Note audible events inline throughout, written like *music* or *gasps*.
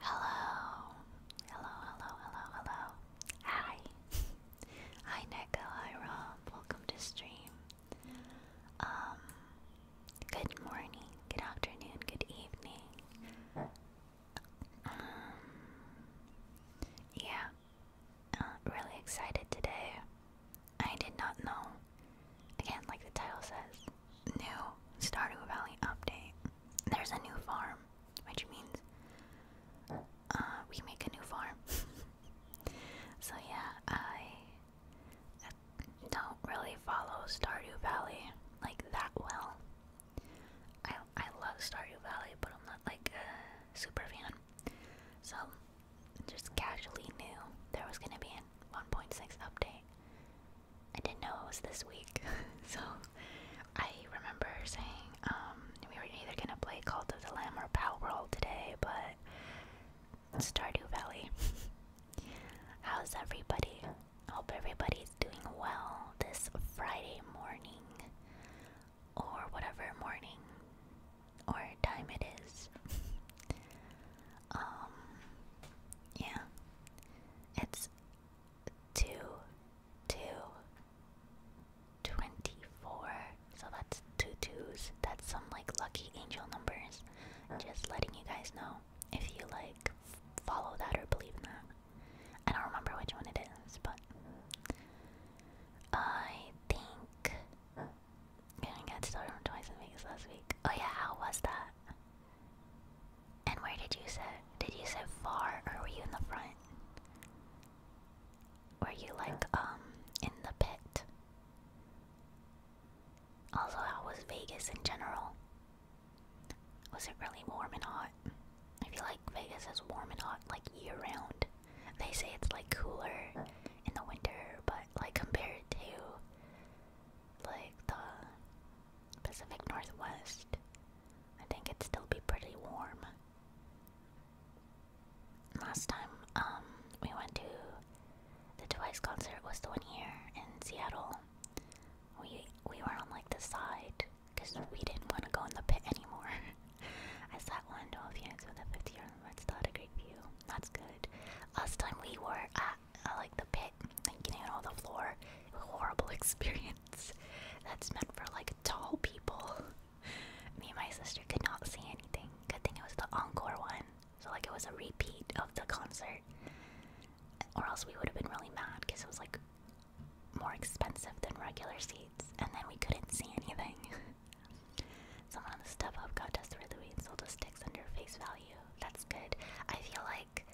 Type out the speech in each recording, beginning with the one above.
Hello, hello, hello, hello, hello. Hi, *laughs* hi, Neko. Hi, Rob. Welcome to stream. Um, good morning, good afternoon, good evening. Um, yeah, really excited today. I did not know. Again, like the title says, new Stardew Valley update. There's a new farm, which means uh, we make a new farm. *laughs* so yeah, I don't really follow Stardew Valley like that well. I I love Stardew Valley, but I'm not like a super fan. So just casually knew there was gonna be a 1.6 update. I didn't know it was this week, *laughs* so I remember saying um, we were either gonna play Cult of the Lamb or Power World today, but Stardew Valley. *laughs* How's everybody? Hope everybody's doing well this Friday morning or whatever morning or time it is. *laughs* um yeah. It's two two twenty-four. So that's two twos. That's some like lucky angel numbers. Just letting you guys know if you like follow that or believe in that. I don't remember which one it is, but I think yeah, I got started twice in Vegas last week. Oh yeah, how was that? And where did you sit? Did you sit far, or were you in the front? Were you like um in the pit? Also, how was Vegas in general? Was it really warm and hot? I feel like Vegas is warm and hot like year round. They say it's like cooler in the winter, but like compared to like the Pacific Northwest, I think it'd still be pretty warm. Last time um we went to the Twice concert was the one here in Seattle. We we were on like the side because we didn't want to go in the pit anymore. *laughs* I sat one dolphins with a 50 yard limit, still a great view. That's good. Last time we were at uh, like the pit, like getting on the floor, horrible *laughs* experience. That's meant for like tall people. *laughs* Me and my sister could not see anything. Good thing it was the encore one, so like it was a repeat of the concert, or else we would have been really mad because it was like more expensive than regular seats, and then we couldn't see anything. *laughs* Someone on the StubHub got Desiree Louis and sold us sticks under face value. That's good. I feel like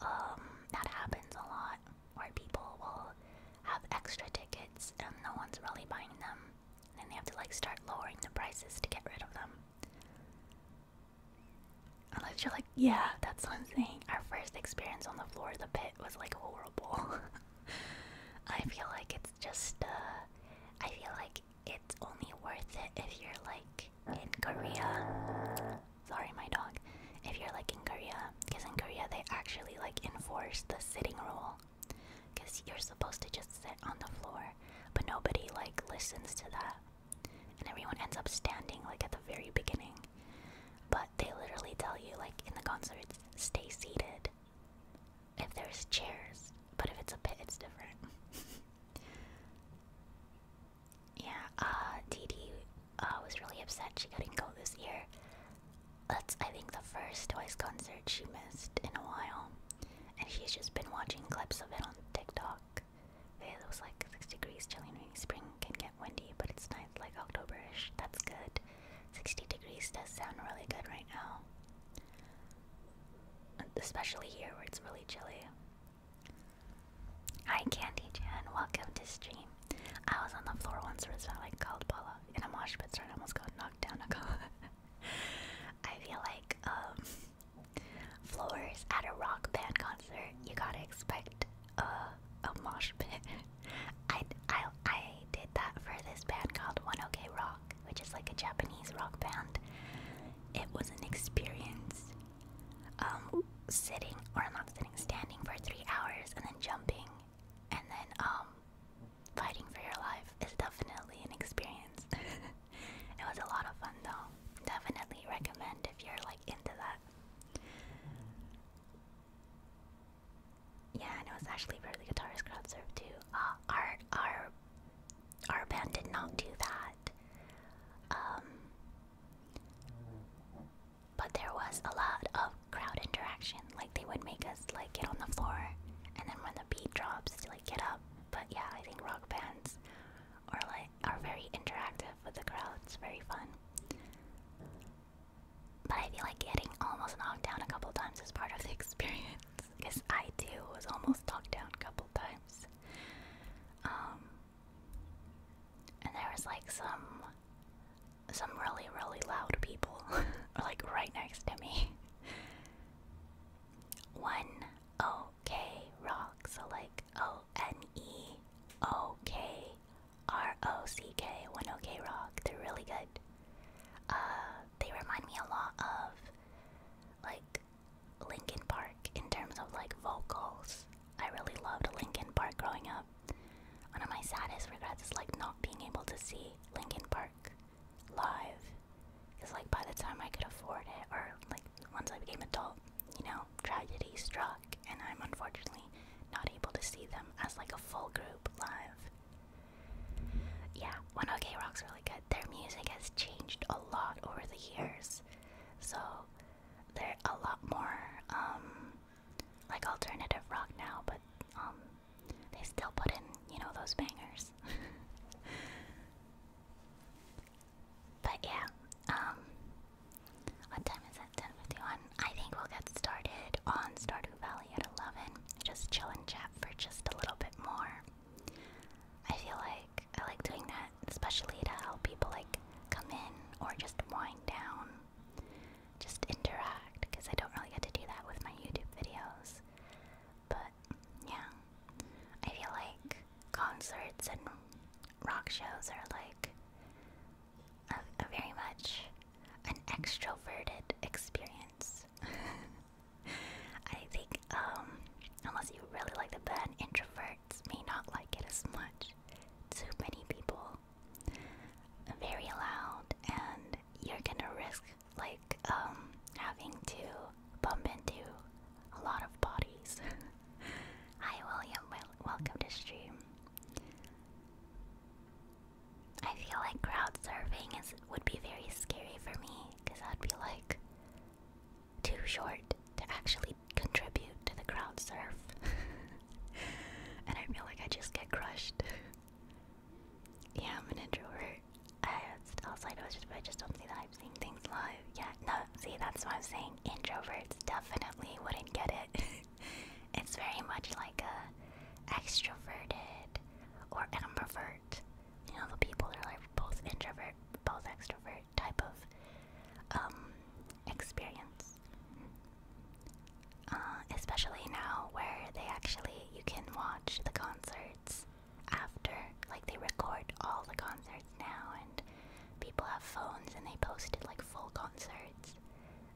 um, that happens a lot, where people will have extra tickets and no one's really buying them, and they have to like start lowering the prices to get rid of them. Unless you're like, yeah, that's one thing. Our first experience on the floor of the pit was like horrible. *laughs* I feel like it's just uh, I feel like it's only worth it if you're like in Korea. Sorry my dog. If you're like in Korea, because in Korea they actually like enforce the sitting rule. Cause you're supposed to just sit on the floor, but nobody like listens to that. And everyone ends up standing like at the very beginning. But they literally tell you, like in the concerts, stay seated. If there's chairs, but if it's a pit, it's different. *laughs* yeah, uh, Dee uh, was really upset she couldn't go this year. That's, I think, the first Twice concert she missed in a while. And she's just been watching clips of it on TikTok. It was like 6 degrees, chilly, rainy spring can get windy, but it's nice. 9th, like Octoberish. That's good. 60 degrees does sound really good right now. Especially here where it's really chilly. Hi Candy Jan, welcome to stream. I was on the floor once where it's not like called Paula in a mosh pit so I almost got knocked down *laughs* I feel like um floors at a rock band concert, you gotta expect uh, a mosh pit. *laughs* I, I, I did that for this band called One OK Rock, which is like a Japanese rock band. It was an experience. Um, sitting or not sitting, standing for three hours and then jumping, and then um, fighting for your life is definitely an experience. *laughs* it was a lot of fun though. Definitely recommend if you're like into that. Yeah, and it was actually for the crowd crowdsurf too. Uh, our our our band did not do that. Um, but there was a lot of crowd interaction. Like they would make us like get on the floor, and then when the beat drops, to, like get up. But yeah, I think rock bands are like are very interactive with the crowd. It's very fun. But I feel like getting almost knocked down a couple times is part of the *laughs* experience. Because I too was almost knocked down a couple times. Um, and there was like some some really, really loud people *laughs* like right next to me. One O K rock, so like O N E O K R O C K 1 OK Rock. They're really good. Uh, they remind me a lot of like Linkin Park in terms of like vocals. I really loved Linkin Park growing up. One of my saddest regrets is like not being able to see Linkin Park live. Cause like by the time I could afford it, or like once I became adult, you know, tragedy struck and I'm unfortunately not able to see them as like a full group live. Yeah, 1OK Rock's really good. Their music has changed a lot over the years, so they're a lot more um, like alternative rock now, but um, they still put in, you know, those bangers. *laughs* But yeah, um, what time is it? 10:51. I think we'll get started on Stardew Valley at 11. Just chill and chat for just a little bit more. I feel like I like doing that, especially to help people like come in or just wind down, just interact, because I don't really get to do that with my YouTube videos. But yeah, I feel like concerts and rock shows are like a, very much an extroverted experience. *laughs* I think um, unless you really like the band, introverts may not like it as much. Too many people, very loud, and you're gonna risk like um, having to bump into a lot of bodies. *laughs* Hi William, welcome to stream. I feel like crowd surfing is would be very scary for me because I'd be like too short to actually contribute to the crowd surf, *laughs* and I feel like I just get crushed. *laughs* yeah, I'm an introvert. I, outside of just, I just don't see I'm seeing things live. yet. no, see, that's why I'm saying. Introverts definitely wouldn't get it. *laughs* *laughs* it's very much like a extroverted or ambivert. You know, the people that are like both introvert, both extrovert type of um, experience. Uh, especially now where they actually you can watch the concerts after, like they record all the concerts now, and people have phones and they post it like full concerts.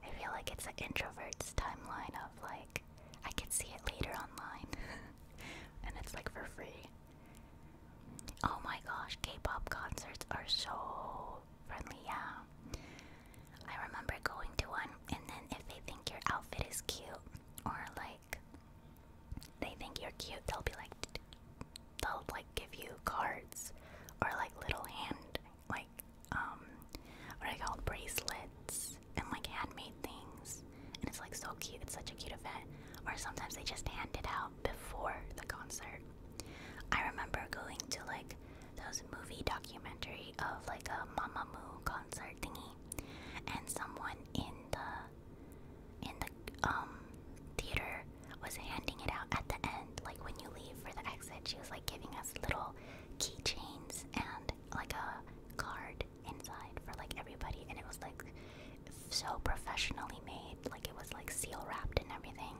I feel like it's an introvert's timeline of like, I can see it later online. *laughs* and it's like for free. Oh my gosh, K pop concerts are so friendly, yeah. I remember going to one, and then if they think your outfit is cute, or like they think you're cute, they'll be like, they'll like give you cards or like little hand like um, what I call bracelets and like handmade things, and it's like so cute. It's such a cute event. Or sometimes they just hand it out before the concert. I remember going to like those movie documentary of like a Mamamoo concert thingy, and someone in the in the um theater was handing it out at the end, like when you leave for the exit. She was like giving us little keychains and like a card inside for like everybody, and it was like so professionally made. Like it was like seal wrapped and everything.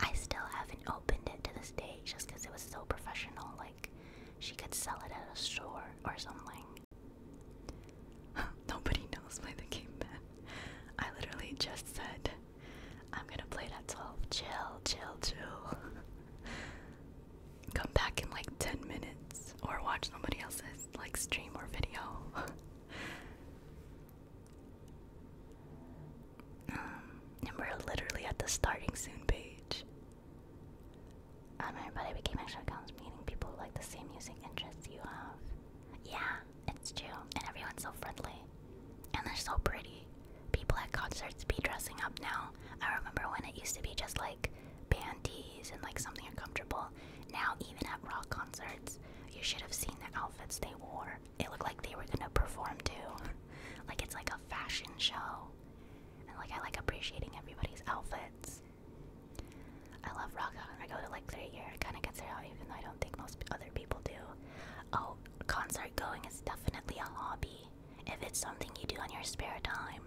I still haven't opened it to this day just because it was so professional. Like she could sell it at a store or something. *laughs* Nobody knows why the game I literally just said I'm gonna play it at 12. Chill, chill, chill. *laughs* Come back in like 10 minutes or watch somebody else's like stream or video. *laughs* um, and we're literally at the starting soon page. Um, everybody became extra accounts, meaning people like the same music interests you have. Yeah, it's true. And everyone's so friendly. And they're so pretty. People at concerts be dressing up now. I remember when it used to be just like panties and like something uncomfortable. Now, even at rock concerts, you should have seen the outfits they wore. It looked like they were gonna perform too. *laughs* like it's like a fashion show. And like I like appreciating everybody's outfits. I love rock. Uh, I go to like three year. It kind of gets there, out, even though I don't think most other people do. Oh, concert going is definitely a hobby. If it's something you do on your spare time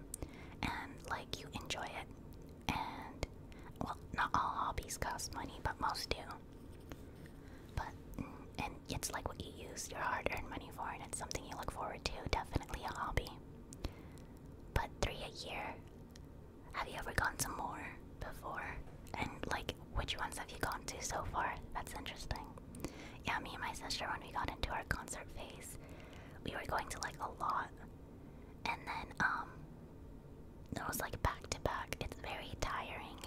and like you enjoy it, and well, not all hobbies cost money, but most do. But mm, and it's like what you use your hard-earned money for, and it's something you look forward to. Definitely a hobby. But three a year. Have you ever gone to more before? And like, which ones have you gone to so far? That's interesting. Yeah, me and my sister, when we got into our concert phase, we were going to like a lot. And then, um, it was like back to back. It's very tiring.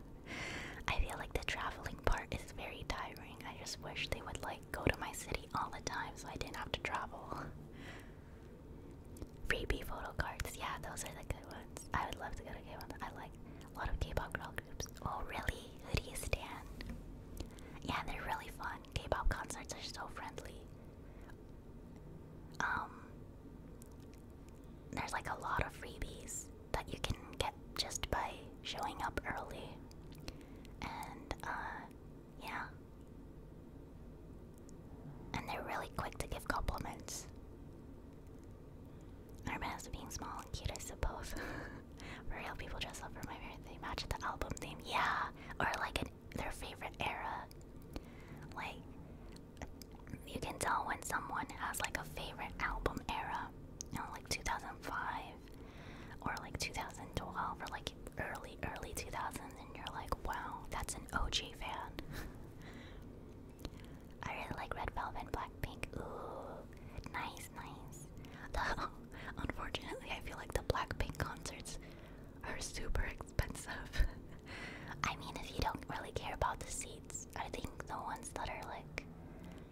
*laughs* I feel like the traveling part is very tiring. I just wish they would like go to my city all the time so I didn't have to travel. *laughs* Freebie photo cards, yeah, those are the good ones. I would love to go to K1. I like a lot of K-pop girl Oh, really? Who do you stand? Yeah, they're really fun. K-pop concerts are so friendly. Um, there's like a lot of freebies that you can get just by showing up early. And uh, yeah. And they're really quick to give compliments. Hermes being small and cute, I suppose. *laughs* real, people dress up for my favorite thing. Match the album theme, yeah, or like an, their favorite era. Like, you can tell when someone has like a favorite album era, like 2005 or like 2012 or like early, early 2000s, and you're like, wow, that's an OG fan. *laughs* I really like Red Velvet and Blackpink. Ooh, nice, nice. *laughs* Unfortunately, I feel like the Blackpink concerts are super expensive. *laughs* I mean, if you don't really care about the seats, I think the ones that are like,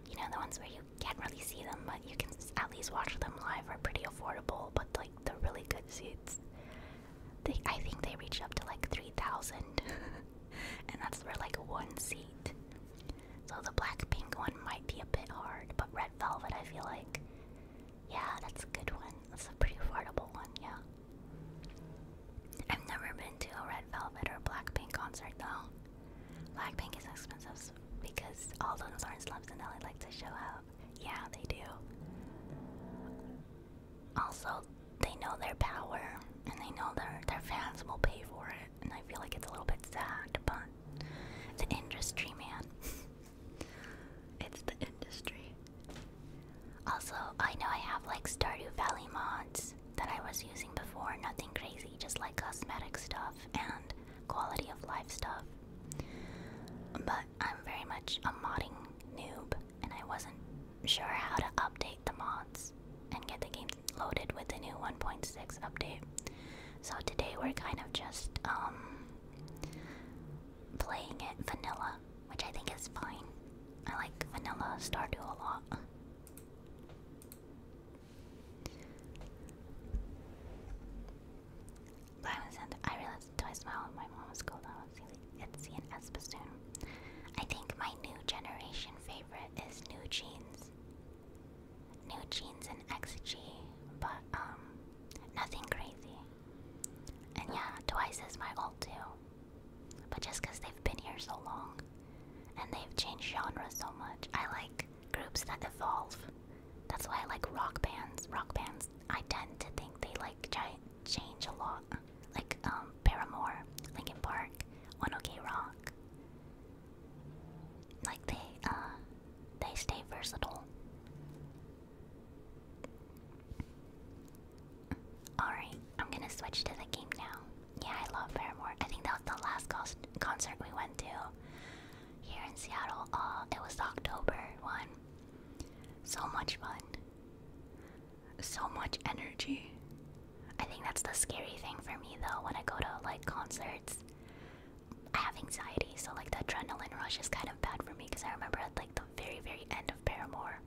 you know, the ones where you can't really see them, but you can at least watch them live are pretty affordable. But like the really good seats, they, I think they reach up to like three thousand. *laughs* and that's for like one seat. So the black pink one might be a bit hard, but red velvet, I feel like, yeah, that's a good one. That's a pretty affordable one, yeah. I've never been to a red velvet or black pink concert though. Black pink is expensive because all those orange slums in LA like to show up. Yeah, they do. Also, they know their power and they know their their fans will pay for it and I feel like it's a little bit sad, but the industry, man. *laughs* it's the industry. Also, I know I have like Stardew Valley mods that I was using before, nothing crazy, just like cosmetic stuff and quality of life stuff. But I'm very much a modding noob, and I wasn't sure how to update the mods and get the game loaded with the new 1.6 update. So today we're kind of just um, playing it vanilla, which I think is fine. I like vanilla Stardew a lot. But I realized twice my my mom was called out silly. It's an Espossoon. I think my new generation favorite is New Jeans. New jeans and XG, but um, nothing crazy. And yeah, twice is my old too. But just because they've been here so long, and they've changed genres so much, I like groups that evolve. That's why I like rock bands. Rock bands, I tend to think they like change a lot, like um, Paramore, Linkin Park, One Ok Rock. Like they uh they stay versatile. Alright, I'm gonna switch to the game now. Yeah, I love Paramore. I think that was the last concert we went to here in Seattle. Uh, it was October one. So much fun. So much energy. I think that's the scary thing for me though when I go to like concerts. I have anxiety, so like the adrenaline rush is kind of bad for me because I remember at like the very, very end of Paramore,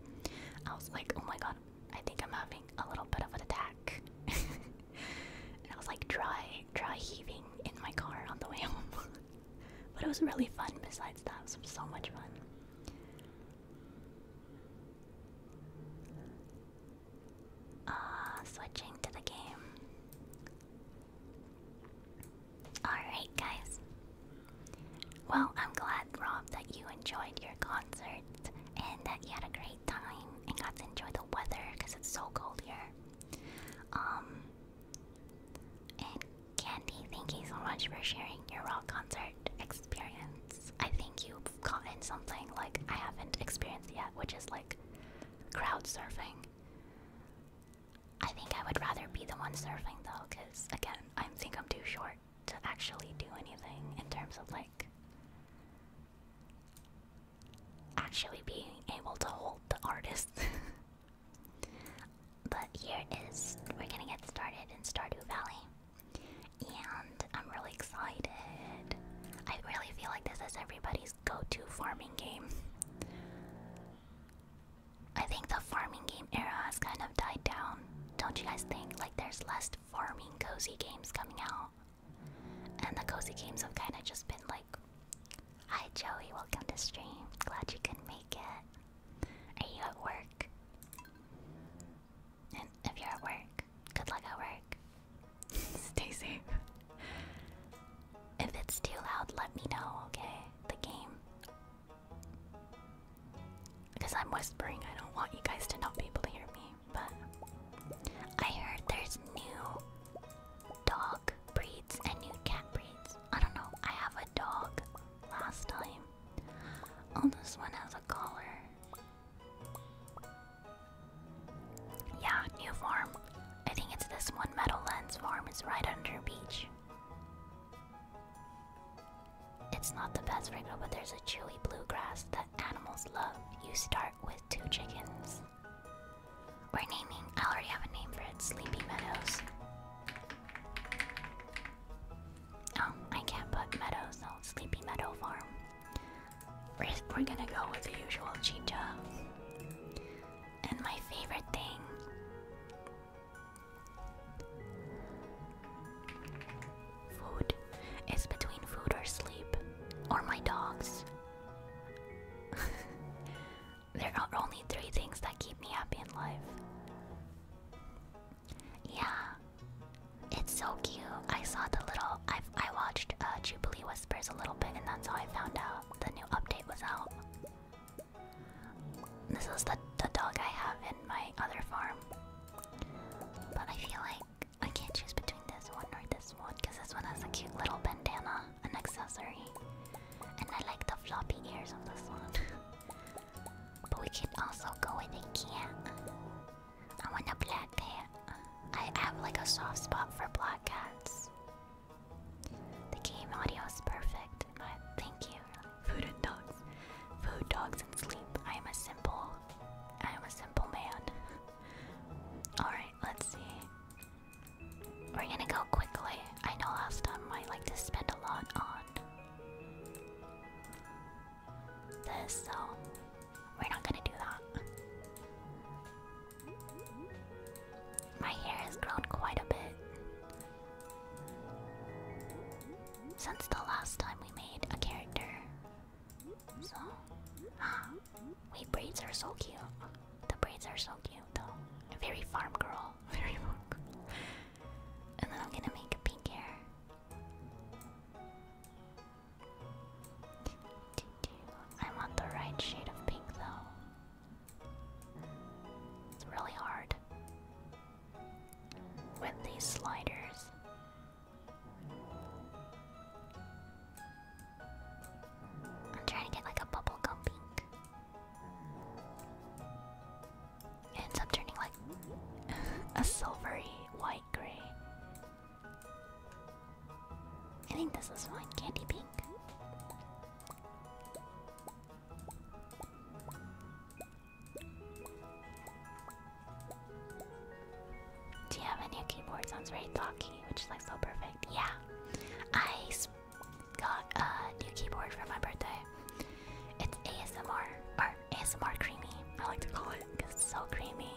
I was like, oh my god, I think I'm having a little bit of an attack. *laughs* and I was like dry, dry heaving in my car on the way home. *laughs* but it was really fun besides that, it was so much fun. Uh, switching to the game. Alright, guys. Well, I'm glad, Rob, that you enjoyed your concert and that you had a great time and got to enjoy the weather because it's so cold here. Um, and Candy, thank you so much for sharing your rock concert experience. I think you've gotten something like I haven't experienced yet, which is like like crowd surfing. I think I would rather be the one surfing though, because again, I think I'm too short to actually do anything in terms of like actually being able to hold the artist. *laughs* but here is we're gonna get started in Stardew Valley. And I'm really excited. I really feel like this is everybody's go-to farming game. I think the farming game era has kind of died down. Don't you guys think? Like there's less farming cozy games coming out. And the cozy games have kind of just been like, Hi Joey, welcome to stream. Glad you could make it. Are you at work? And if you're at work, good luck at work. Stay safe. If it's too loud, let me know, okay? The game. Because I'm whispering, I don't want you guys to not be able to hear me. But I heard there's new dog breeds and new cat breeds. I don't know. I have a dog last time. Oh, this one has a collar. Yeah, new farm. I think it's this one. metal lens farm is right under beach. It's not the best right but there's a chewy bluegrass that animals love. You start with two chickens. We're naming. I already have a name for it. Sleepy Meadows. Oh, I can't put Meadows. Sleepy Meadow Farm. First, we're gonna go with the usual chicha. And my favorite thing. Food. It's between food or sleep. Or my dogs. *laughs* there are only three things that keep me happy in life. Yeah. It's so cute. I saw the little. i I watched uh, Jubilee was whispers a little bit, and that's how I found out the new update was out. This is the, the dog I have in my other farm. But I feel like I can't choose between this one or this one because this one has a cute little bandana, an accessory. And I like the floppy ears of this one. but we can also go with and cat. I want a black cat. I have like a soft spot for black cats. The game audio is perfect. My thank you. Food and dogs, food, dogs, and sleep. I am a simple, I am a simple man. *laughs* All right, let's see. We're gonna go quickly. I know last time I like to spend a lot on this, so we're not gonna do that. My hair has grown quite a bit since the last time we made a character. So, *gasps* wait, braids are so cute. The braids are so cute, though. Very farm girl. *laughs* Very farm girl. And then I'm gonna make pink hair. I want the right shade of pink though. It's really hard with these sliders. I'm trying to get like a bubblegum pink. It ends turning like *laughs* a silvery white gray. I think this is one candy pink. Do you have a new keyboard? Sounds very talky, which is like so perfect. Yeah, I got a new keyboard for my birthday. It's ASMR or ASMR creamy. I like to call it because it's so creamy.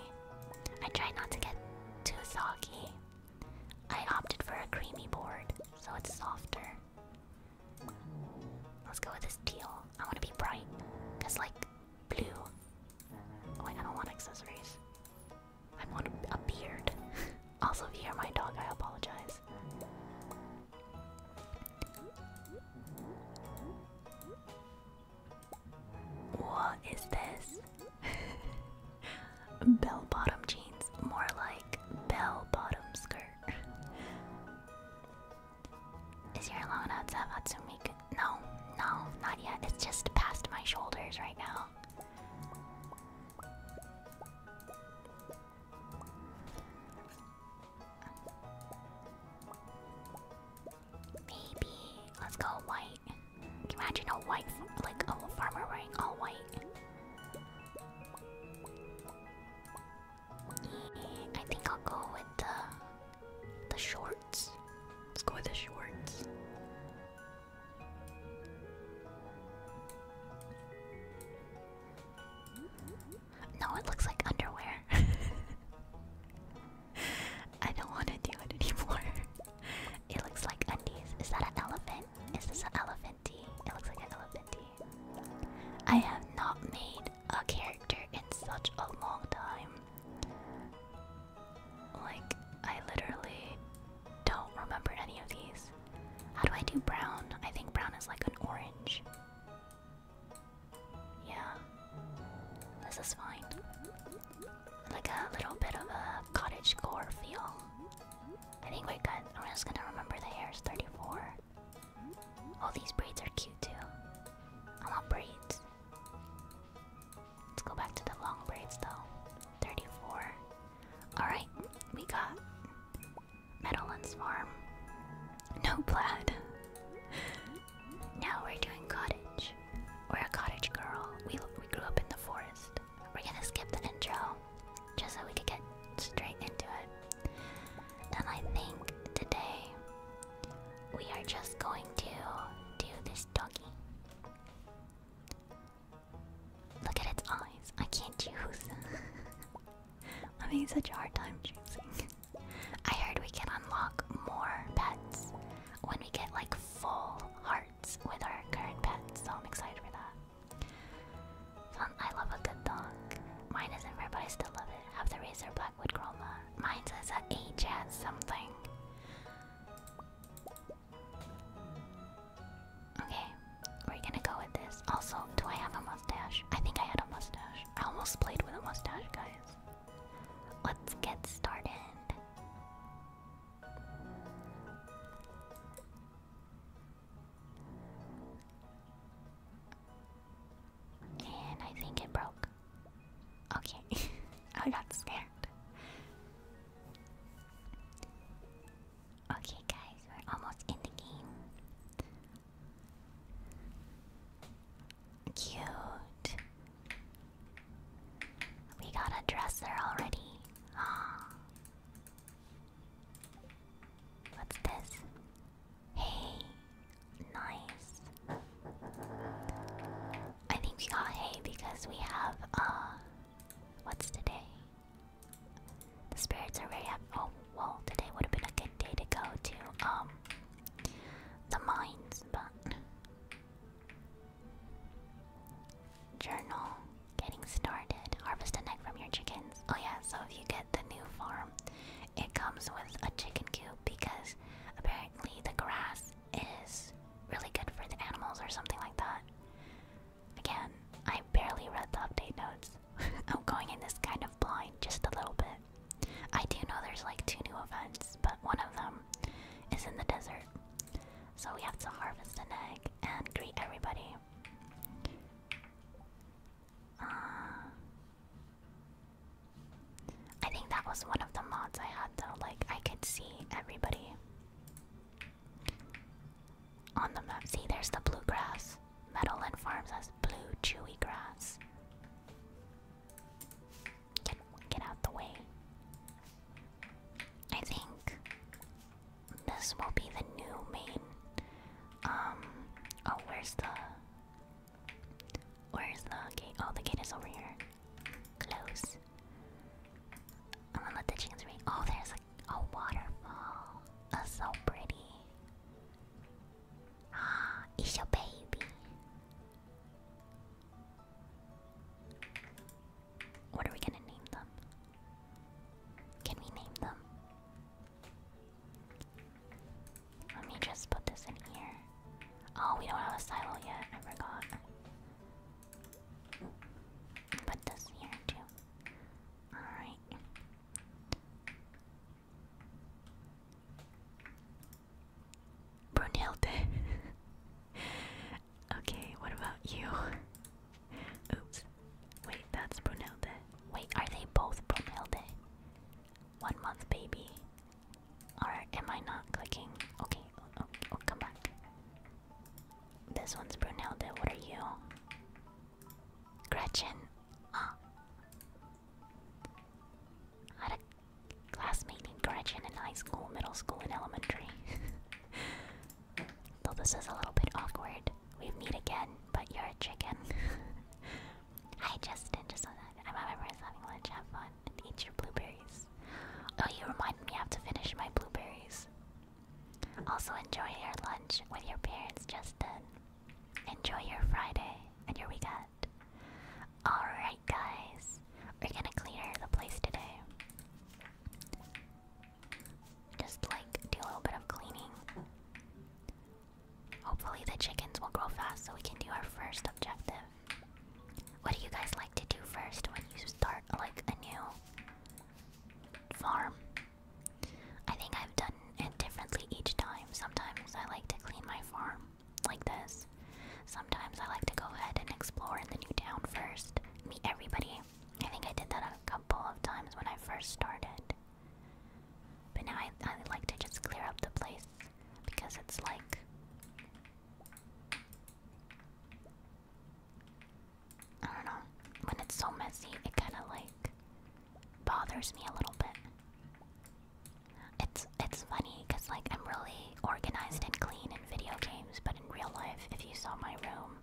I try not to get too soggy I opted for a creamy board, so it's softer. Let's go with this teal. I want to be bright, cause like blue. Oh wait, I want accessories. I want a beard. *laughs* also, if you hear my dog, I apologize. What is this? *laughs* bell bottom jeans, more like bell bottom skirt. Is your long enough to have No, no, not yet. It's just past my shoulders right now. Maybe let's go white imagine a white, like a farmer wearing all white? I think I'll go with the the shorts. Let's go with the shorts. No, it looks like underwear. *laughs* I don't want to do it anymore it looks like undies. Is that an elephant? Is this an elephanty? It looks like an elephanty. I have not made a character in such a long time. Like, I literally don't remember any of these. How do I do brown? I think brown is like an orange. Yeah. This is fine like a little bit of a cottage core feel. I think we're good. We're just gonna remember the hair is 34. All these braids are cute too. I want braids. Let's go back to the long braids though. 34. Alright, we got Meadowlands Farm. No plaid. now we're doing cottage. We're a cottage girl. We, we grew up in the forest we're gonna skip the intro just so we could get straight into it. And I think today we are just going to do this doggy. Look at its eyes. I can't choose. *laughs* I'm having such a hard time choosing. *laughs* I heard we can unlock more pets when we get like full heart with our current pets, so I'm excited for that. I love a good dog. Mine isn't rare, but I still love it. Have the Razor Blackwood Chroma. Mine says a H H as something. Okay, we're gonna go with this. Also, do I have a mustache? I think I had a mustache. I almost played with a mustache, guys. Let's get started. And I think it broke. Okay, *laughs* I got scared. Okay, guys, we're almost in the game. Cute. We got a dresser already. Ah. What's this? Hay. Nice. I think we got hay because we have uh what's today? The spirits are very oh well today would have been a good day to go to um the mines, but Journal. Getting started. Harvest an egg from your chickens. Oh yeah, so if you get the new farm, it comes with a chicken coop because apparently the grass is really good for the animals or something like that. Again, I barely read the update notes. *laughs* I'm going in this kind of blind, just a little bit. I do know there's like two new events, but one of them is in the desert. So we have to harvest an egg and greet everybody. Uh, I think that was one of the mods I had though, like I could see everybody on the map. See, there's the blue grass. Meadowland Farms has blue, chewy grass. get out the way. I think this will be the new main. Um, oh, where's the? Where's the gate? Oh, the gate is over here. Close. I'm gonna let the chickens rain. Oh, there's like a waterfall. That's so pretty. Ah, it's your baby. What are we gonna name them? Can we name them? Let me just put this in here. Oh, we don't have a silo yet. I forgot. Put this here too. Alright. Brunhilde. *laughs* Okay, what about you? Oops. Wait, that's Brunhilde. Wait, are they both Brunhilde? One month baby. Or am I not clicking? Okay, oh, oh come back. This one's Brunhilde. What are you? Gretchen. Ah, had a classmate named Gretchen in high school, middle school, and elementary. *laughs* Though this is a little bit awkward. We meet again, but you're a chicken. I just didn't just so that I am remember having lunch, have fun, and eat your blueberries. Oh, you remind me I have to finish my blueberries. Also enjoy your lunch with your parents, just Justin. Enjoy your Friday and your weekend. Alright guys, we're gonna clean the place today. Just like do a little bit of cleaning. Hopefully, the chickens will grow fast so we can do our first objective. What do you guys like to do first when you start like a new farm? I think I've done it differently each time. Sometimes I like to clean my farm like this. Sometimes I like to go ahead and explore in the new town first, meet everybody I think I did that a couple of times when I first started. But now I, I like to just clear up the place because it's like. I don't know. When it's so messy, it kind of like bothers me a little bit. It's it's funny because like I'm really organized and clean in video games, but in real life, if you saw my room,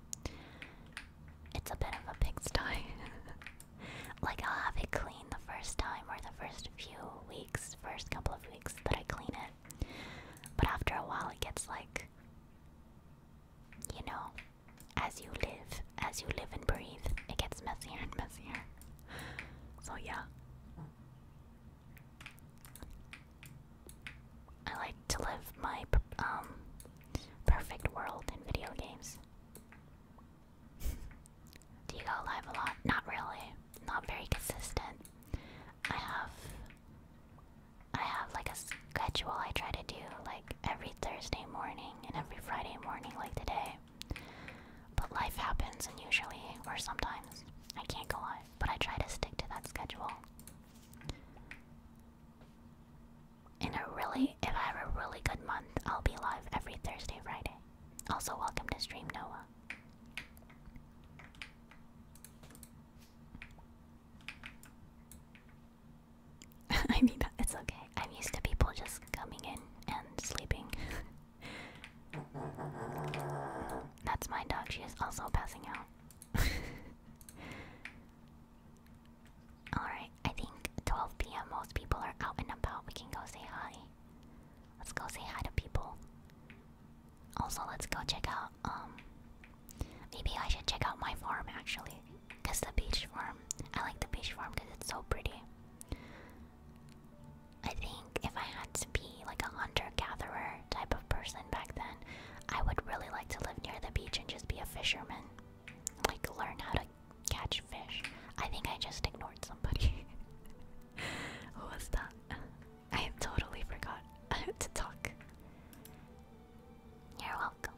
it's a bit of a big style. *laughs* like I'll have it clean the first time or the first few weeks, first couple of weeks that I clean it. But after a while, it gets like, you know, as you live, as you live and breathe, it gets messier and messier. So yeah. I like to live my um perfect world in video games. *laughs* Do you go live a lot? Not really. Not very consistent. I have I have like a schedule I try to do like every Thursday morning and every Friday morning like today. But life happens and usually or sometimes I can't go live, but I try to stick to that schedule. In a really, if I have a really good month, I'll be live every Thursday, Friday. Also, welcome to stream, Noah. *laughs* I mean, it's okay. I'm used to people just coming in and sleeping. *laughs* That's my dog. She is also passing out. *laughs* Alright, I think 12 p.m. most people are out and about. We can go say hi. Let's go say hi to people. Also, let's go check out, um, maybe I should check out my farm actually. Because the beach farm, I like the beach farm because it's so pretty. I think if I had to be like a hunter gatherer, type of person back then. I would really like to live near the beach and just be a fisherman. Like, learn how to catch fish. I think I just ignored somebody. *laughs* Who was that? I totally forgot *laughs* to talk. You're welcome.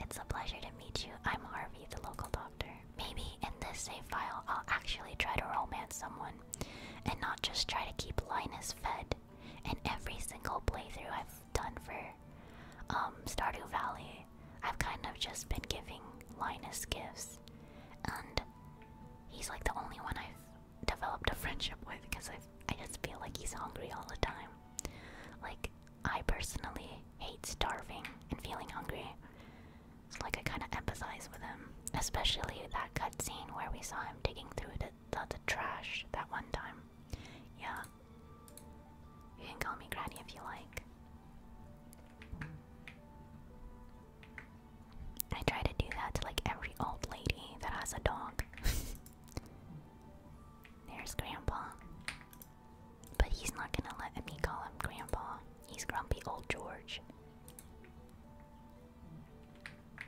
It's a pleasure to meet you. I'm Harvey, the local doctor. Maybe in this save file, I'll actually try to romance someone and not just try to keep Linus fed and every single playthrough I've done for um, Stardew Valley, I've kind of just been giving Linus gifts, and he's like the only one I've developed a friendship with because I I just feel like he's hungry all the time. Like I personally hate starving and feeling hungry. It's like I kind of empathize with him, especially that cutscene where we saw him digging through the lots of trash that one time. Yeah. You can call me Granny if you like. I try to do that to like every old lady that has a dog. *laughs* There's Grandpa. But he's not gonna let me call him Grandpa. He's grumpy old George.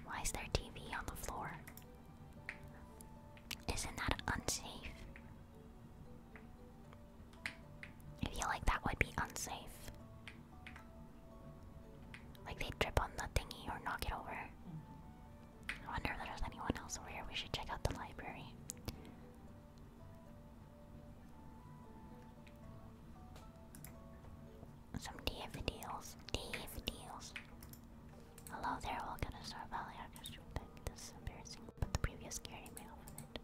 Why is there TV on the floor? Isn't that unsafe? I feel like that would be unsafe. Like they trip on the thingy or knock it over. I wonder if there's anyone else over here. We should check out the library. Some DF deals. Hello there, welcome to Star Valley Orchestra. This is embarrassing, but the previous security mail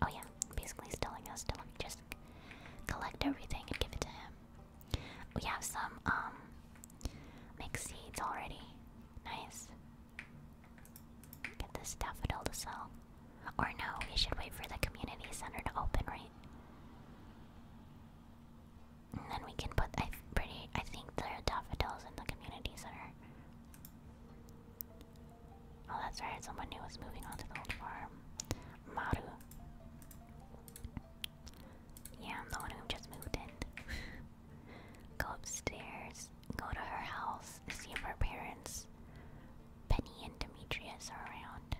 Oh yeah, basically he's telling us to just collect everything and give it to him. We have some um, mixed seeds already. Nice. Get this daffodil to sell. Or no, we should wait for the community center to open, right? And then we can put. I pretty. I think there are daffodils in the community center. Oh, that's right. Someone new was moving on to the old farm. Maru. Yeah, I'm the one who just moved in. *laughs* go upstairs. Go to her house. See if her parents, Penny and Demetrius, are around.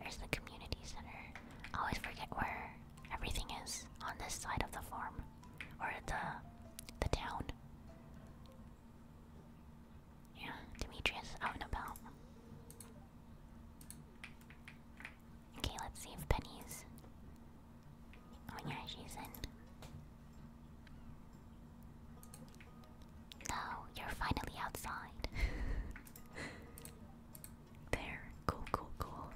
There's the community center. always forget where everything is on this side of the farm or the the town. Yeah, Demetrius out and about. Okay, let's see if Penny's. Oh yeah, she's in. No, you're finally outside. *laughs* there, cool, cool, cool.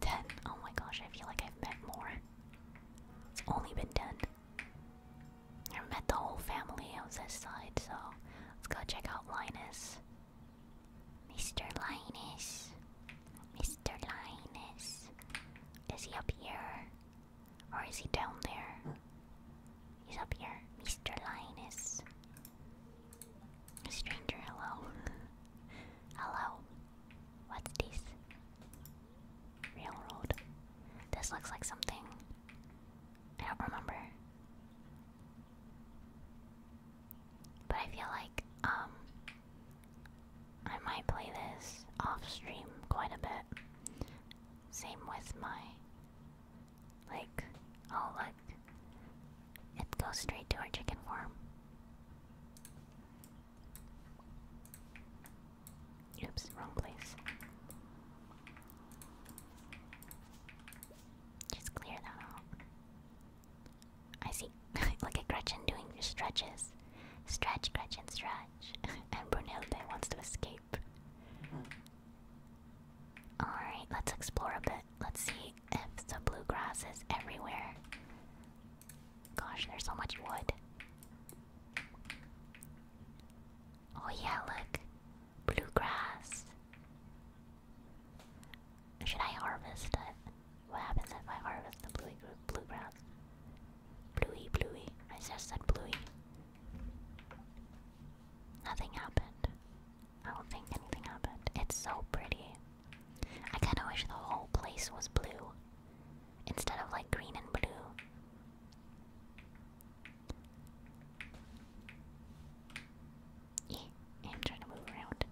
Ten. Oh my gosh, I feel like I've met more. It's only been ten. I I've met the whole family on this side, so let's go check out Linus. Mr. Linus. Mr. Linus. Is he up here? Or is he down there? He's up here. Mr. Linus. Stranger, hello. hello. What's this? Railroad. This looks like something. I don't remember. But I feel like, um, I might play this off stream quite a bit. Same with my. Like, all oh, like. It goes straight to our chicken farm. Oops, wrong place. Just clear that out. I see. *laughs* Look at Gretchen doing her stretches. Stretch, Gretchen, stretch. *laughs* and Brunhilde wants to escape. Hmm. Alright, let's explore a bit. Let's see F the bluegrass is everywhere. Gosh, there's so much wood. Oh yeah, look. Bluegrass. Should I harvest it? What happens if I harvest the bluey bluegrass? Bluey, bluey. I just said bluey. Nothing happened. I don't think anything happened. It's so pretty. I kinda wish the whole place was blue instead of like green and blue. I'm trying to move around.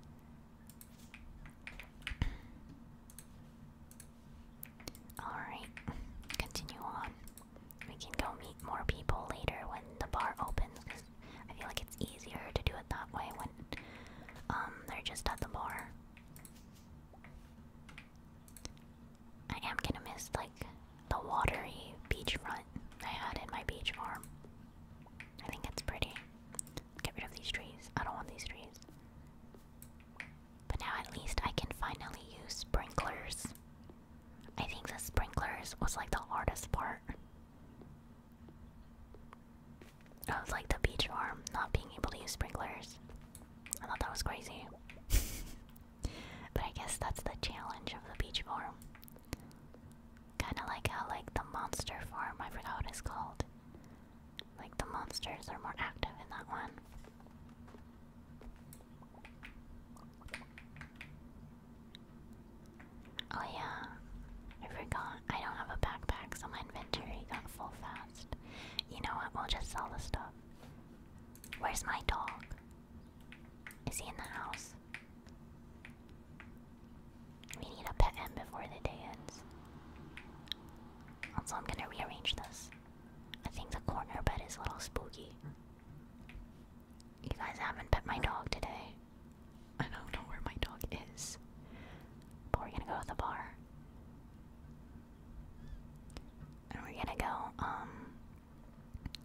Alright, continue on. We can go meet more people later when the bar opens I feel like it's easier to do it that way when um, they're just at the bar. I am gonna miss like the watery beachfront I had in my beach farm. I think it's pretty. get rid of these trees. I don't want these trees. But now at least I can finally use sprinklers. I think the sprinklers was like the hardest part. I was like the beach farm, not being able to use sprinklers. I thought that was crazy. but I guess that's the challenge of the beach farm. Kinda like how like the monster farm, I forgot what it's called. Like the monsters are more active in that one. Oh yeah, I forgot. I don't have a backpack, so my inventory got full fast. You know what? We'll just sell the stuff. Where's my dog? Is he in the house? We need a pet him before the day ends. Also, I'm gonna rearrange this. I think the corner bed is a little spooky. You guys haven't pet my dog today. I don't know where my dog is. But we're gonna go to the bar. And we're gonna go, um,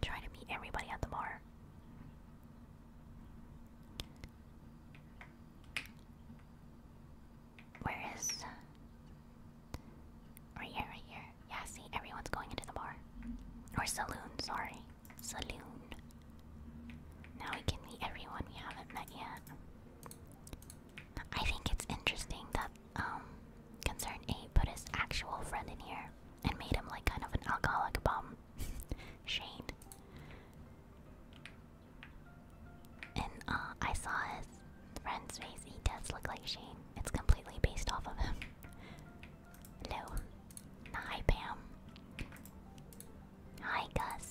try to meet everybody at the bar. Where is. Right here, right here. Yeah, see, everyone's going into the bar. Or saloon, sorry. Saloon. Now we can meet everyone we haven't met yet. I think it's interesting that um, Concern 8 put his actual friend in here and made him like kind of an alcoholic bum. *laughs* Shane. And uh, I saw his friend's face. He does look like Shane. It's completely based off of him. Hello. Hi, Pam. Hi, Gus.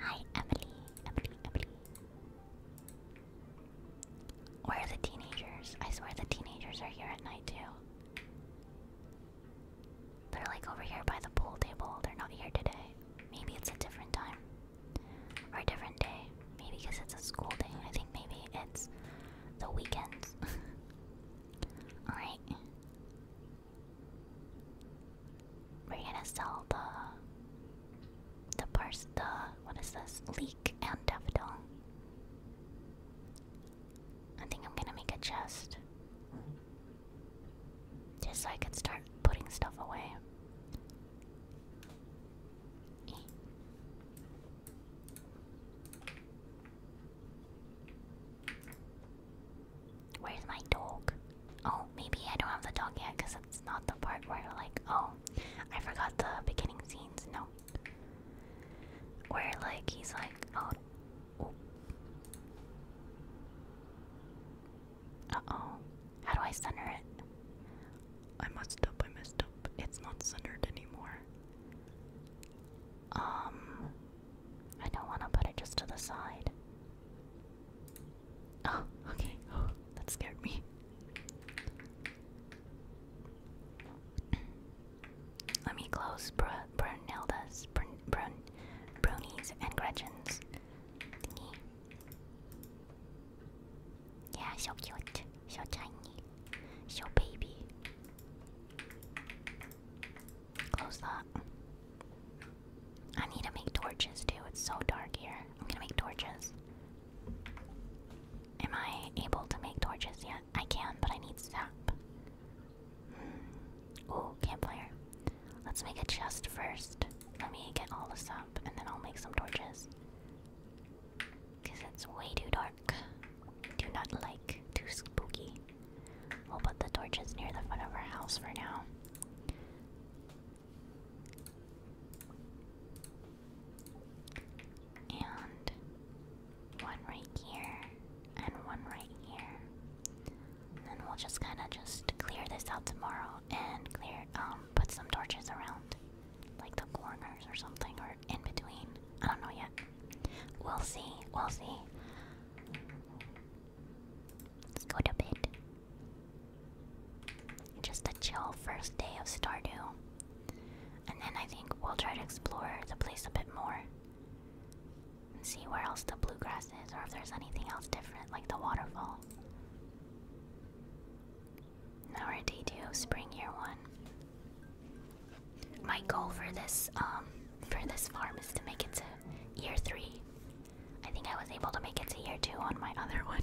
Hi, Emily, Emily, Emily. Where are the teenagers? I swear the teenagers are here at night too. They're like over here by the pool table. They're not here today. Maybe it's a different time. Or a different day. Maybe because it's a school day. I think maybe it's the weekends. *laughs* Alright. We're gonna sell the the parse the what is this? Leek and daffodil. I think I'm gonna make a chest. Just so I can start putting stuff away. Where's my dog? Oh, maybe I don't have the dog yet because it's not the part where like, oh, I forgot the beginning scenes. No, where like he's like, oh, oh. uh oh, how do I center it? I messed up. I messed up. It's not centered anymore. Um, I don't want to put it just to the side. Oh, okay. Oh, that scared me. Let me close Brunilda's, Brun, Brunies, and Gretchen's Yeah, so cute, so tiny, so baby. Close that. I need to make torches too. It's so dark here. I'm gonna make torches. Am I able to make torches yet? I can, but I need sap. Mm. Ooh, campfire. Let's make a chest first. Let me get all the sap and then I'll make some torches. Because it's way too dark. Do not like. Too spooky. We'll put the torches near the front of our house for now. And one right here, and one right here. then we'll just kind of just clear this out tomorrow and clear, um, put some torches around, like the corners or something, or in between. I don't know yet. We'll see. We'll see. Let's go to bed. Just a chill first day of Stardew. And then I think we'll try to explore the place a bit more. And see where else the bluegrass is, or if there's anything else different, like the waterfall. Now we're at day two, spring year one. My goal for this um, for this farm is to make it to year three. I think I was able to make it to year two on my other *laughs* one.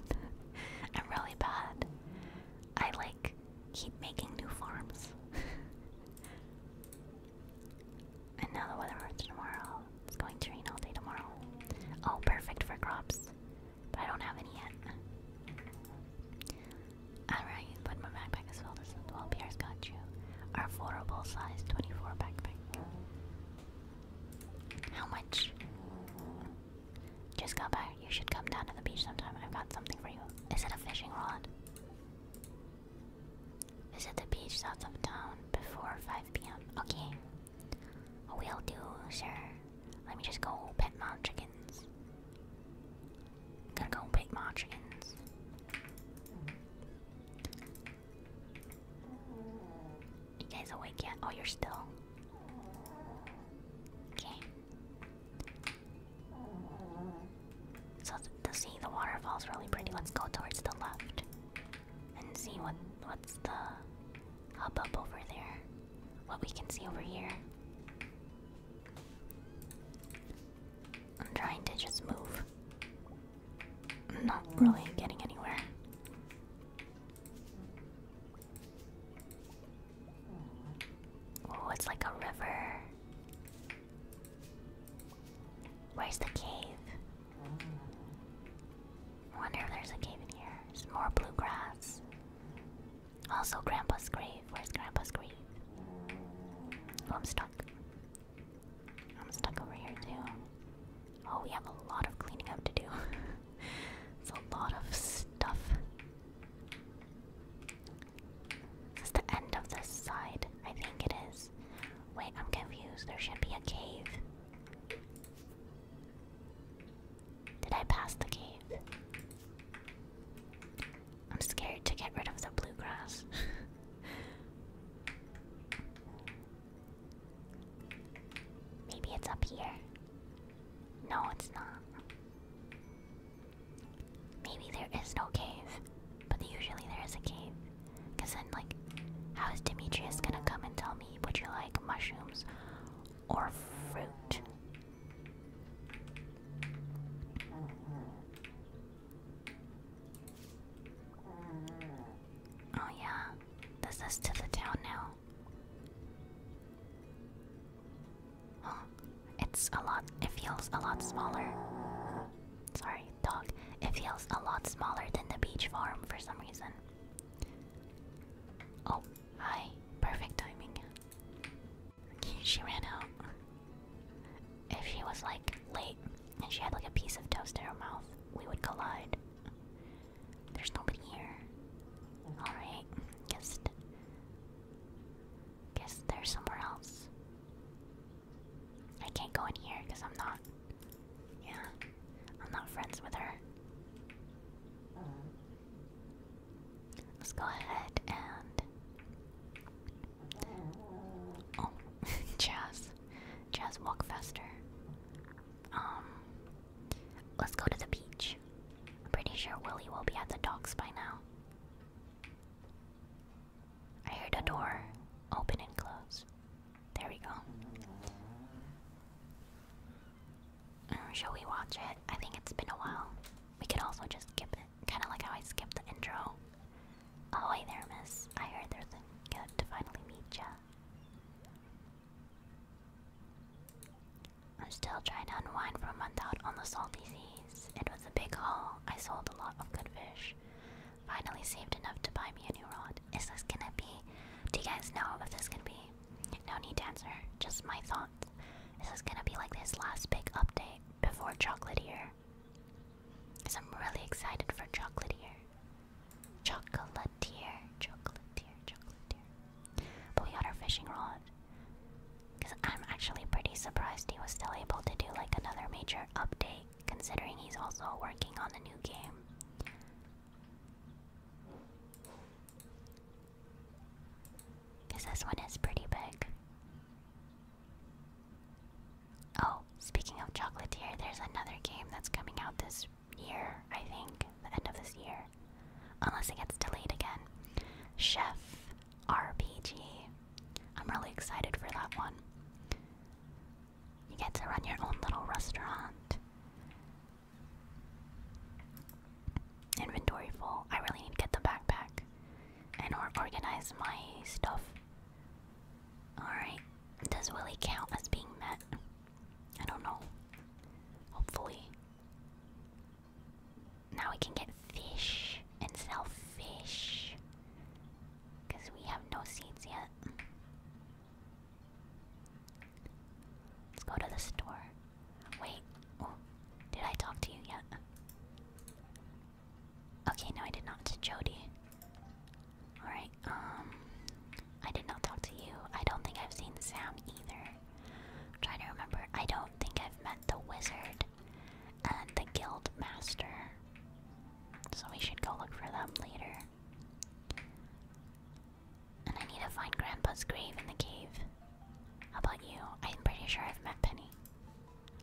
I'm really bad. I like keep making new farms. *laughs* and now the weather for tomorrow. It's going to rain all day tomorrow. Oh, perfect for crops. But I don't have any yet. Alright, put my backpack well, is the 12 years got you. Our affordable size 24 backpack. How much? Just go back. You should come down to the beach sometime. I've got something for you. Is it a fishing rod? Is it the beach south of town before 5 p.m. Okay. we Will do, sir. Let me just go pet my chickens. going to go pet my chickens. You guys awake yet? Oh, you're still. Okay. So to see the waterfall's really pretty. Let's go towards the left and see what what's the up over there. What we can see over here. I'm trying to just move not really getting anywhere. Oh, it's like a river. Where's the cave? I wonder if there's a cave in here. more bluegrass. Also, Grandpa's grave. Where's Grandpa's grave? Oh, I'm stuck. I'm stuck over here too. Oh, we have a lot of cleaning up to do. *laughs* it's a lot of stuff. Is the end of this side? I think it is. Wait, I'm confused. There should be a cave. Did I pass the cave? I'm scared to get rid of the bluegrass. *laughs* Maybe it's up here. No, it's not. Maybe there is no cave, but usually there is a cave. Because then, like, how is Demetrius gonna come and tell me, would you like mushrooms or fruit? Oh, yeah, this is to the town now. Oh, it's a lot, it feels a lot smaller. Sorry, dog. It feels a lot smaller than the beach farm for some reason. Oh, hi. Perfect timing. She ran out. If she was like late and she had like a piece of toast in her mouth, we would collide. There's nobody here. Alright, guess guess they're somewhere else. I can't go in here because I'm not yeah. I'm not friends with her. Let's go ahead and Oh, *laughs* Jazz. Just walk faster. Um, let's go to the beach. I'm pretty sure Willie will be at the docks by now. I heard the door open and close. There we go. Um, we watch it? I think it's been a while. We could also just skip it, kind of like how I skipped the intro. Oh, hey there, miss. I heard there's a good to finally meet ya. I'm still trying to unwind from a month out on the salty seas. It was a big haul. I sold a lot of good fish. Finally saved enough to buy me a new rod. Is this gonna be? Do you guys know if this gonna be? No need to answer. Just my thoughts. Is this gonna be like this last big update before chocolate here? here. So I'm really excited for Chocolatier. Chocolatier, Chocolatier, Chocolatier. But we got our fishing rod. Because I'm actually pretty surprised he was still able to do like another major update, considering he's also working on a new game. Because this one is pretty big. Oh, speaking of Chocolatier, there's another game that's coming out this year, I think, the end of this year. Unless it gets delayed again. Chef RPG. I'm really excited for that one. You get to run your own little restaurant. Inventory full. I really need to get the backpack and organize my stuff. Alright. Does Willy count as being met? I don't know. Hopefully. Now we can get fish and sell fish. Because we have no seeds yet. Let's go to the store. Wait, oh, did I talk to you yet? Okay, no, I did not. Jody. Alright, um. I did not talk to you. I don't think I've seen Sam either. i trying to remember. I don't think I've met the wizard and the guild master. So we should go look for them later. And I need to find Grandpa's grave in the cave. How about you? I'm pretty sure I've met Penny.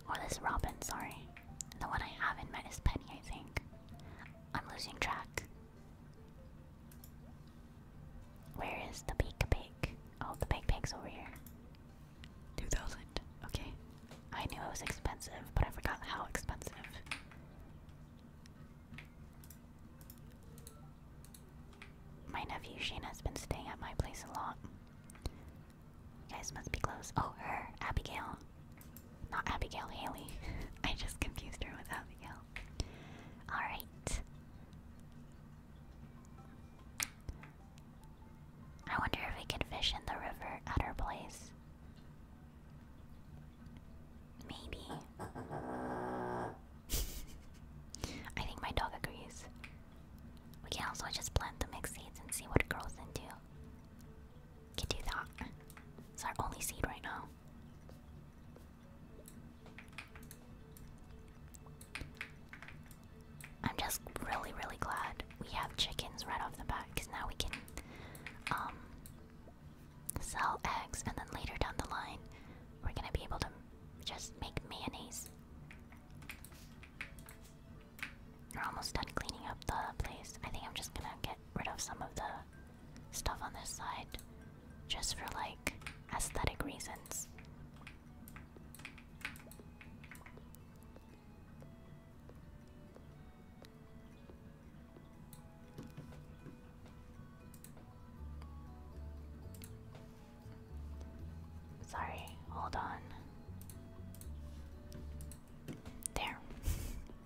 Or this Robin, sorry. The one I haven't met is Penny, I think. I'm losing track. Where is the big pig? Oh, the big pig's over here. 2000. Okay. I knew it was expensive, but I forgot how expensive. My nephew Shane has been staying at my place a lot. guys must be close. Oh, her, Abigail. Not Abigail Haley. *laughs* I just confused her with Abigail. Alright. I wonder if we can fish in the river at her place. Maybe. *laughs* I think my dog agrees. We can also just plant the mixed seeds and see what it grows into. Can do that. It's our only seed right now. I'm just really, really glad we have chickens right off the bat because now we can um, sell eggs, and then later down the line, we're gonna be able to just make mayonnaise. We're almost done cleaning up the place. I think I'm just gonna get rid of some of the stuff on this side just for like aesthetic reasons. Sorry, hold on. There. *laughs*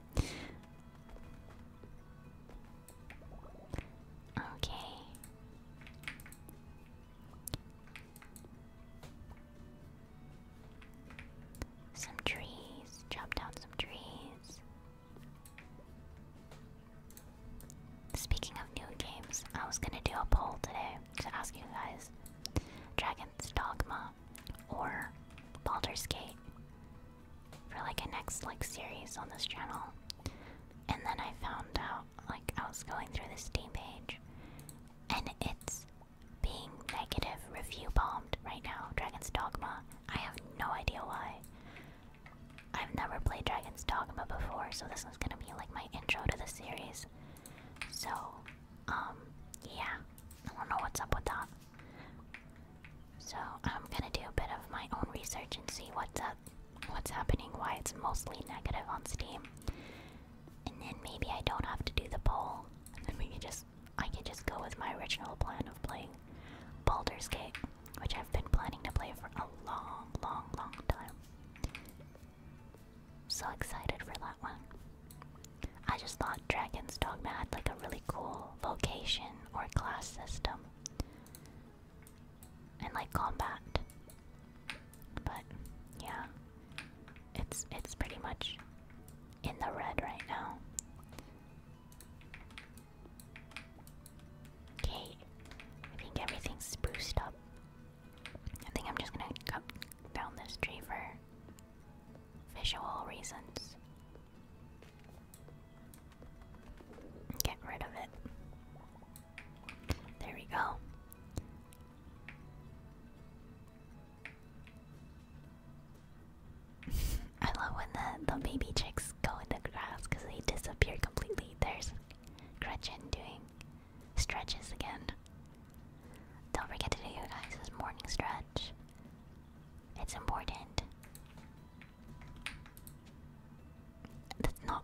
Okay. Some trees. Chop down some trees. Speaking of new games, I was gonna do a poll today to ask you guys Dragon's Dogma or Baldur's Gate for like a next like series on this channel. And then I found out like I was going through the Steam page and it's being negative review bombed right now. Dragon's Dogma. I have no idea why. I've never played Dragon's Dogma before, so this is gonna be like my intro to the series. So, um, yeah. I don't know what's up with that. So I'm gonna do a bit of my own research and see what's up, what's happening, why it's mostly negative on Steam, and then maybe I don't have to do the poll, and we can just, I can just go with my original plan of playing Baldur's Gate, which I've been planning to play for a long, long, long time. So excited for that one. I just thought Dragon's Dogma had like a really cool vocation or class system and like combat. But yeah. It's it's pretty much in the red right now. Okay. I think everything's spruced up. I think I'm just gonna cut down this tree for visual reasons. Get rid of it. There we go. *laughs* I love when the, the baby chicks go in the grass because they disappear completely. There's Gretchen doing stretches again. Don't forget to do you guys' morning stretch. It's important. That's not.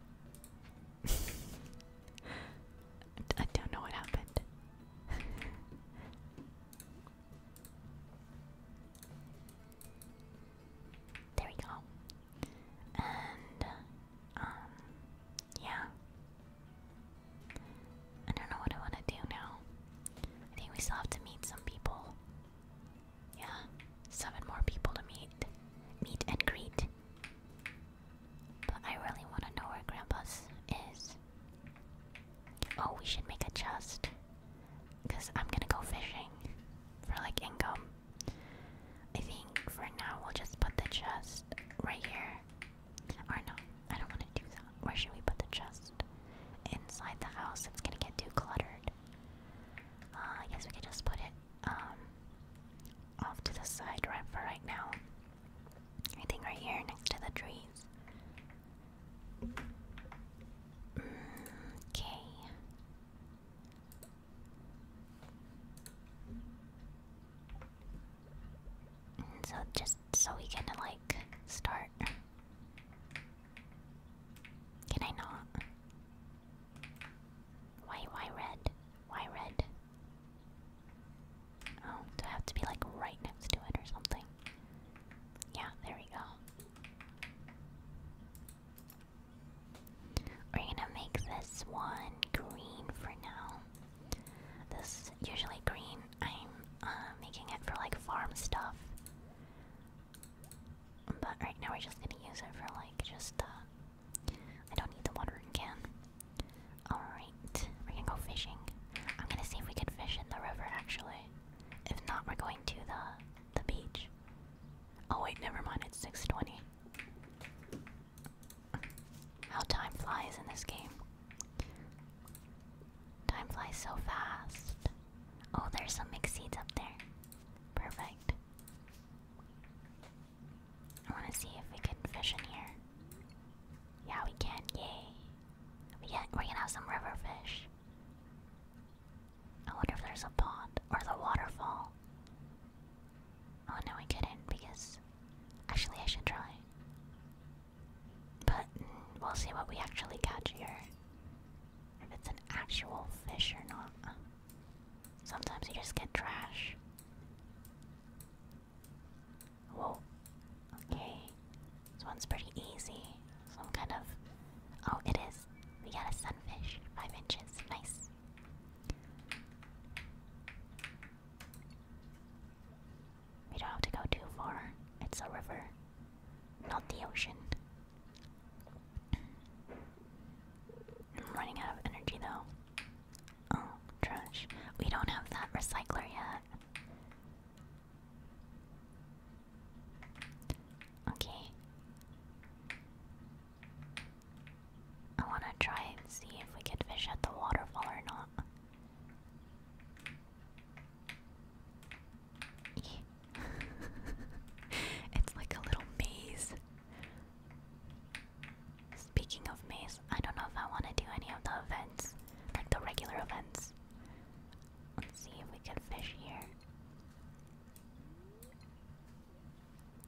*laughs* I don't know what happened. there we go. And, um, yeah. I don't know what I want to do now. I think we still have to meet some people. Yeah, seven more people to meet. Meet and greet. But I really want to know where Grandpa's is. Oh, we should make a chest. Because I'm gonna go fishing for like income. I think for now we'll just put the chest right here. Or no, I don't want to do that. Where should we put the chest? Inside the house. It's gonna get too cluttered. Uh, I guess we could just put it um, off to the side right for right now. I think right here next to the trees. Okay. So just so we can like start can I not? Why, why red? Why red? Oh, do I have to be like right next to it or something? Yeah, there we go. We're gonna make this one green for now. This usually green I'm uh, making it for like farm stuff. But right now we're just gonna use it for like just uh, I don't need the watering can. Alright, we're gonna go fishing. I'm gonna see if we can fish in the river actually. If not, we're going to the the beach. Oh wait, never mind, it's 620. How time flies in this game. Time flies so fast. Oh, there's some mixed seeds up there. Perfect. I want to see if we can fish in here. Yeah, we can. Yay. We get, we're gonna have some river fish. I wonder if there's a pond or the waterfall. Oh no, we couldn't because. Actually, I should try. But we'll see what we actually catch here. If it's an actual fish or not. Sometimes you just get trash. Whoa. Okay. This one's pretty easy. Some kind of. Oh, it is. We got a sunfish. Five inches. Nice. We don't have to go too far. It's a river, not the ocean. I'm running out of energy though. Oh, trash. We don't have that recycler yet. Okay. I want to try and see if we could fish at the waterfall or not. *laughs* it's like a little maze. Speaking of mazes, I don't know if I want to do any of the events, like the regular events. Let's see if we can fish here.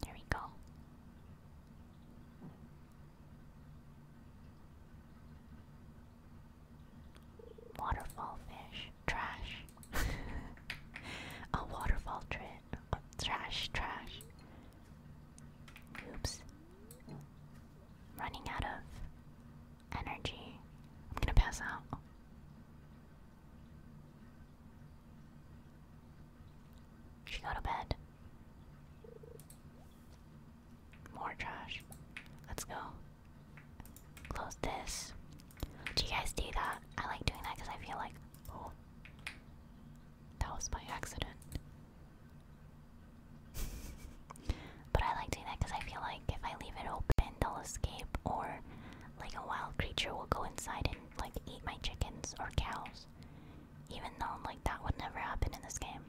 There we go. Waterfall fish. Trash. *laughs* A waterfall trit. trash, trash. Oops. Running out of energy. I'm gonna pass out. She go to bed. More trash. Let's go. Close this. Do you guys do that? I like doing that because I feel like, oh, that was by accident. *laughs* but I like doing that because I feel like if I leave it open, they'll escape, or like a wild creature will go inside and like eat my chickens or cows. Even though like that would never happen in this game.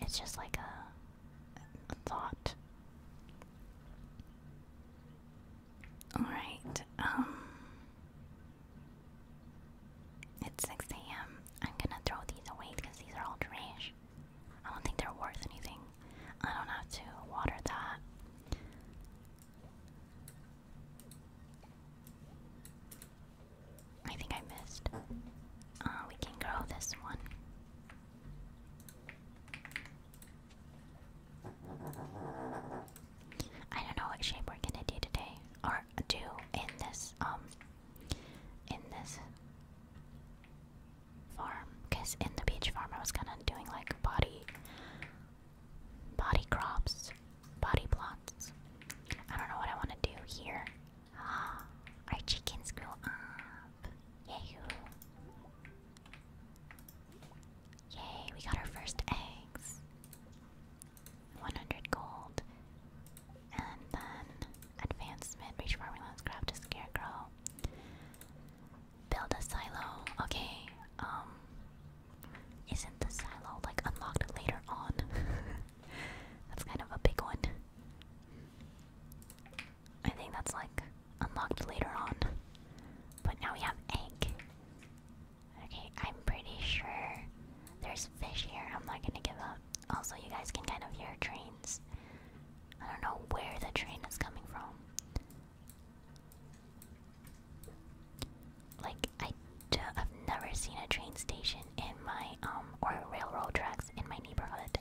It's just like a thought. Alright, um. It's 6 a.m. I'm gonna throw these away because these are all trash. I don't think they're worth anything. I don't have to water that. I think I missed. Uh, we can grow this one. I don't know what shape we're gonna do today, or do in this um in this farm. Cause in the beach farm, I was kind of doing like body body crops, body plots. I don't know what I want to do here. *gasps* Our chickens grow up. Yahoo! Yay, we got our first eggs. 100 gold. And then advancement, reach formulas, craft a scarecrow. Build a silo. Okay, um. Isn't the silo like unlocked later on? *laughs* That's kind of a big one. I think that's like unlocked later on. But now we have egg. Okay, I'm pretty sure there's fish here. I'm not gonna give up. Also, you guys can kind of hear trains. I don't know where the train is coming from. Like I d I've never seen a train station in my um or railroad tracks in my neighborhood.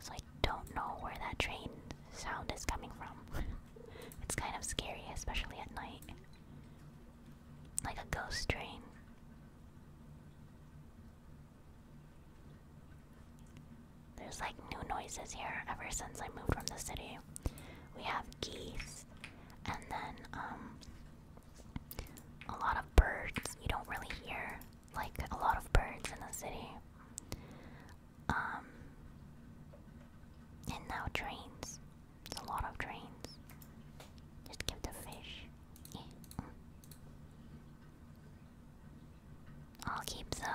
So I don't know where that train sound is coming from. *laughs* it's kind of scary, especially at night. Like a ghost train. There's like new noises here ever since I moved from the city. We have geese and then um a lot of birds you don't really hear like a lot of birds in the city. Um, and now trains. It's a lot of trains. Just give the fish. I'll keep the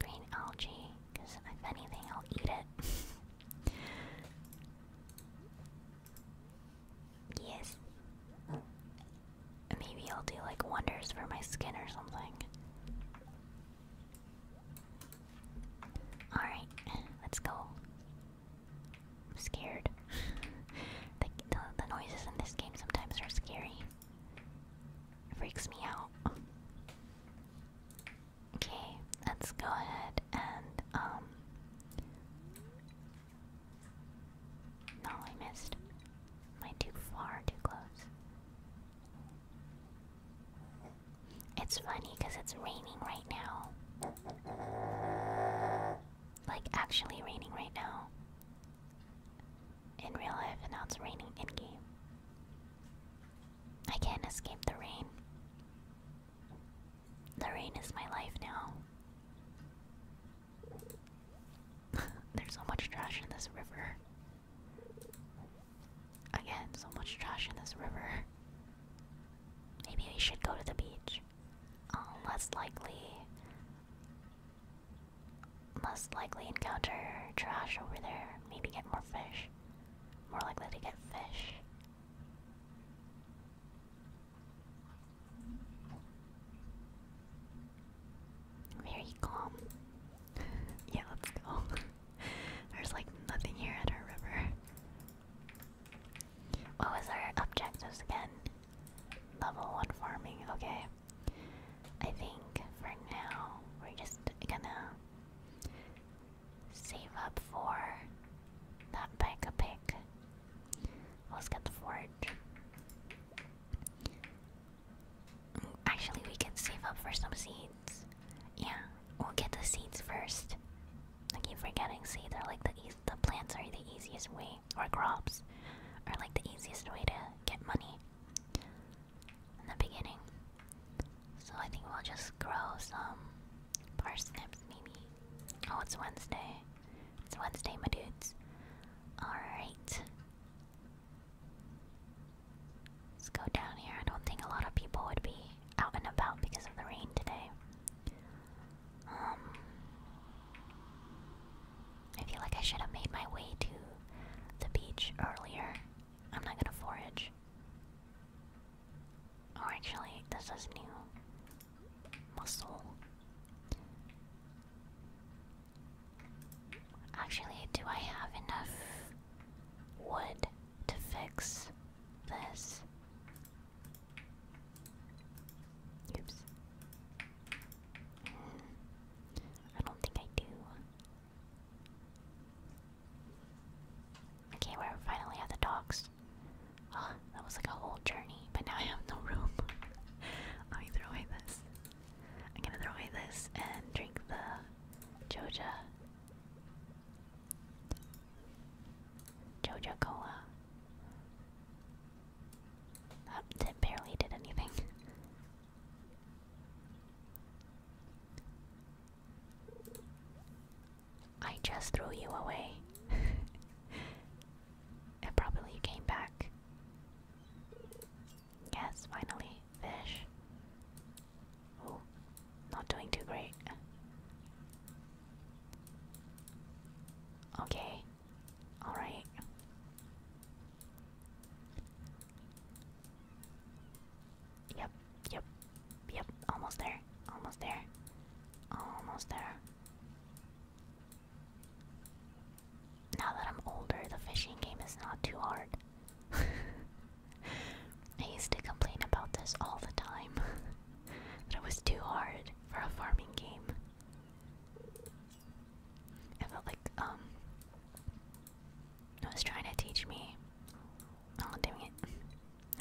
green algae, because if anything, I'll eat it. *laughs* yes. Maybe I'll do like wonders for my skin or something. Alright, let's go. scared. *laughs* the, the, noises in this game sometimes are scary. freaks me out. Okay, let's go ahead and, um. No, I missed. Am too far, too close? It's funny because it's raining right now. Like, actually raining right now. In real life, and now it's raining in game. I can't escape the rain. The rain is my life now. *laughs* There's so much trash in this river. Again, so much trash in this river. Maybe we should go to the beach. Um, less likely. Less likely encounter trash over there. Maybe get more fish. More likely to get fish. Very calm. yeah, let's go. *laughs* There's like nothing here at our river. What was our objectives again? Level 1 farming, okay. I think for now we're just gonna save up for that bike a pick. Let's get the forge. Actually, we can save up for some seeds. Yeah, we'll get the seeds first. I keep forgetting seeds are like the e the plants are the easiest way, or crops are like the easiest way to get money in the beginning. So I think we'll just grow some parsnips, maybe. Oh, it's Wednesday. It's Wednesday, my dudes. Alright. Let's go down here. I don't think a lot of people would be out and about because of the rain today. Um, I feel like I should have made my way to the beach earlier. I'm not gonna forage. Oh, actually, this is new. Muscle. Actually, do I have enough wood to fix this? Oops. Hmm. I don't think I do. Okay, we're finally at the docks. Oh, that was like a whole journey, but now I have no room. *laughs* Let me throw away this. I'm gonna throw away this and drink the Joja. Joja Cola. barely did anything. *laughs* I just threw you away. and *laughs* probably came back. Yes, finally, fish. Oh, not doing too great. Okay, alright. Yep, yep, yep, almost there, almost there, almost there now that I'm older, the fishing game is not too hard. *laughs* I used to complain about this all the time. that *laughs* it was too hard for a farming game. I felt like, um, it was trying to teach me. Oh, dang it.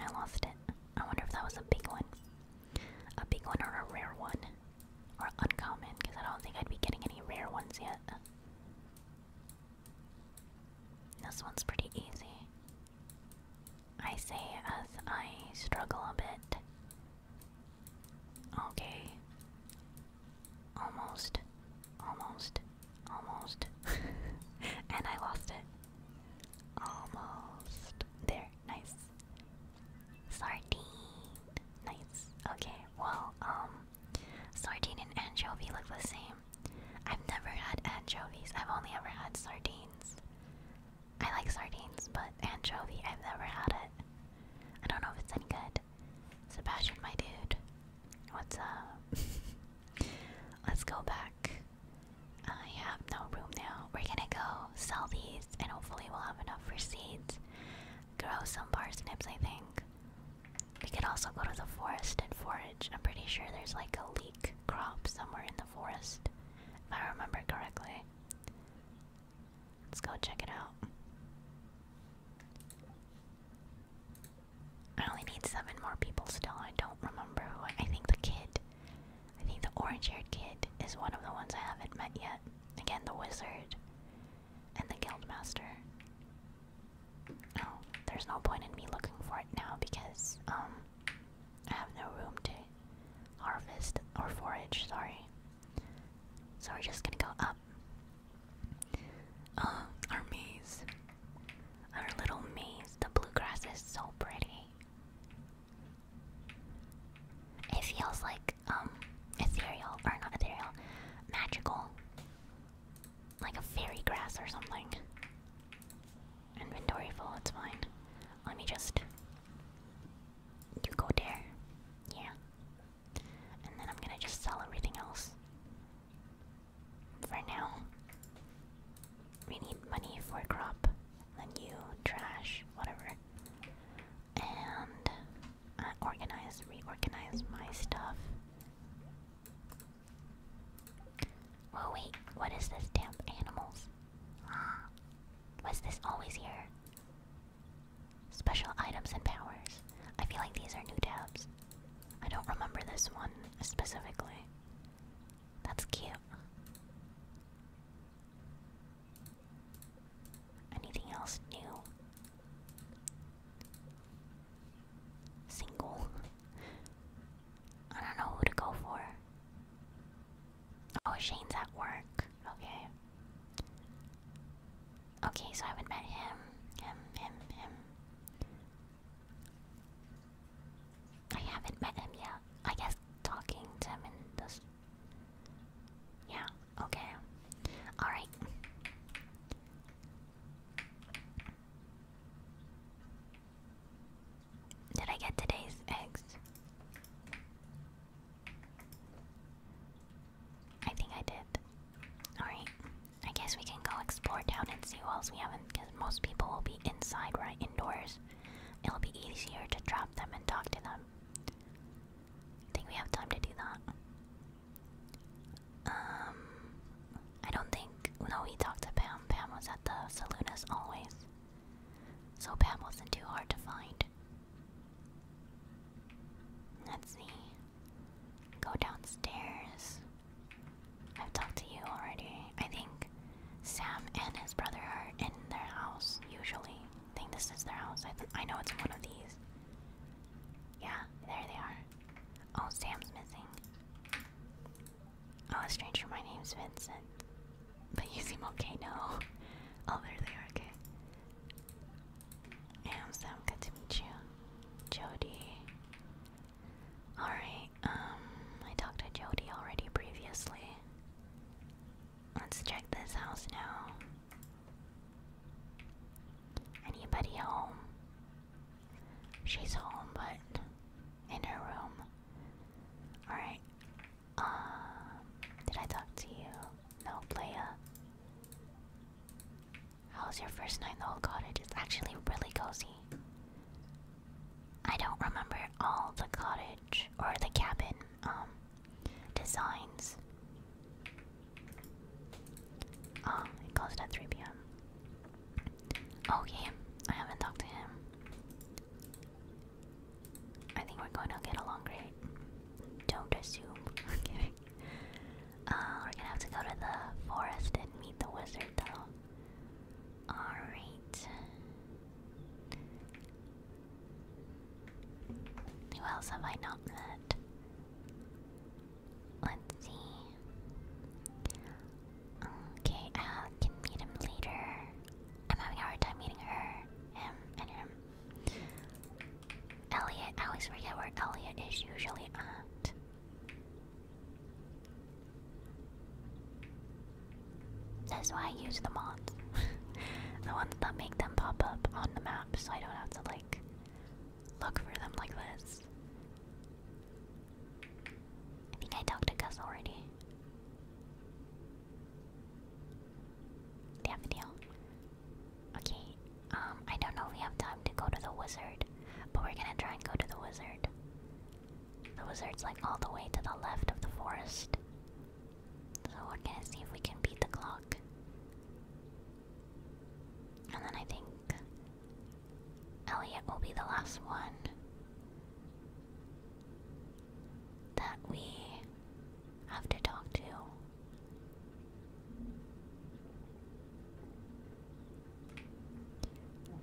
I lost it. I wonder if that was a big one. A big one or a rare one. Or uncommon, because I don't think I'd be getting any rare ones yet. This one's pretty easy. I say as I struggle a bit. Okay. Almost. Almost. Almost. *laughs* and I lost it. Almost. There. Nice. Sardine. Nice. Okay. Well, um Sardine and anchovy look the same. I've never had anchovies, I've only ever had sardines. I like sardines, but anchovy, I've never had it. I don't know if it's any good. Sebastian, my dude. What's up? *laughs* Let's go back. I have no room now. We're gonna go sell these, and hopefully, we'll have enough for seeds grow some parsnips, I think. We could also go to the forest and forage. I'm pretty sure there's like a leek crop somewhere in the forest, if I remember correctly. Let's go check it out. I only need seven more people still. I don't remember who. I think the kid. I think the orange haired kid is one of the ones I haven't met yet. Again, the wizard and the guildmaster. Oh, there's no point in me looking for it now because um I have no room to harvest or forage, sorry. So we're just gonna go up. Uh, our maze. Our little maze. The bluegrass is so pretty. It feels like um ethereal or not ethereal, magical, like a fairy grass or something. Inventory full, it's fine. Let me just you go there, yeah, and then I'm gonna just sell everything else. For now, we need money for crop, then you trash, whatever. And uh, organize, reorganize my stuff. Oh wait, what is this damp animals? Ah, was this always here? Special items and powers. I feel like these are new tabs. I don't remember this one specifically. That's cute. Anything else new? Single. I don't know who to go for. Oh, Shane's at work. Okay. Okay, so I haven't met him. Him, him, him. I haven't met him yet. I guess talking to him in this. Yeah. Okay. Alright. Did I get today's eggs? I think I did. Alright. I guess we can go explore town and see who else we haven't, because most people will be inside, right? Indoors. It'll be easier to drop them and talk to them. think we have time to do that. Um, I don't think. No, he talked to Pam. Pam was at the saloon as always. So Pam wasn't too hard to find. Let's see. Go downstairs. I've talked to you already. I think Sam and his brother are in their house usually. I think this is their house. I, I know it's one of these. Yeah, there they are. Oh, Sam's missing. Oh, stranger, my name's Vincent. But you seem okay, no. Oh, there they are, okay. Yeah, Sam, good to meet you. Jody. Alright, um, I talked to Jody already previously. Let's check this house now. Anybody home? She's home, but in her room. Alright. Um, did I talk to you? No, Playa. How was your first night in the old cottage? It's actually really cozy. I don't remember all the cottage or the cabin um, designs. Oh, it closed at 3 p.m. Okay, I haven't talked to him. I think we're going to get along great. Don't assume. *laughs* Uh, we're gonna have to go to the forest and meet the wizard, Alright. Who else have I not met? Let's see. Okay, I can meet him later. I'm having a hard time meeting her, him, and him. Elliot, I always forget where Elliot is usually at. That's why I use the mods. *laughs* the ones that make them pop up on the map so I don't have to, like, look for them like this. I think I talked to Gus already. They have a deal. Okay, um, I don't know if we have time to go to the wizard, but we're gonna try and go to the wizard. The wizard's like all the way to the left of the forest. So we're gonna see if we can beat the clock. And then I think Elliot will be the last one that we have to talk to.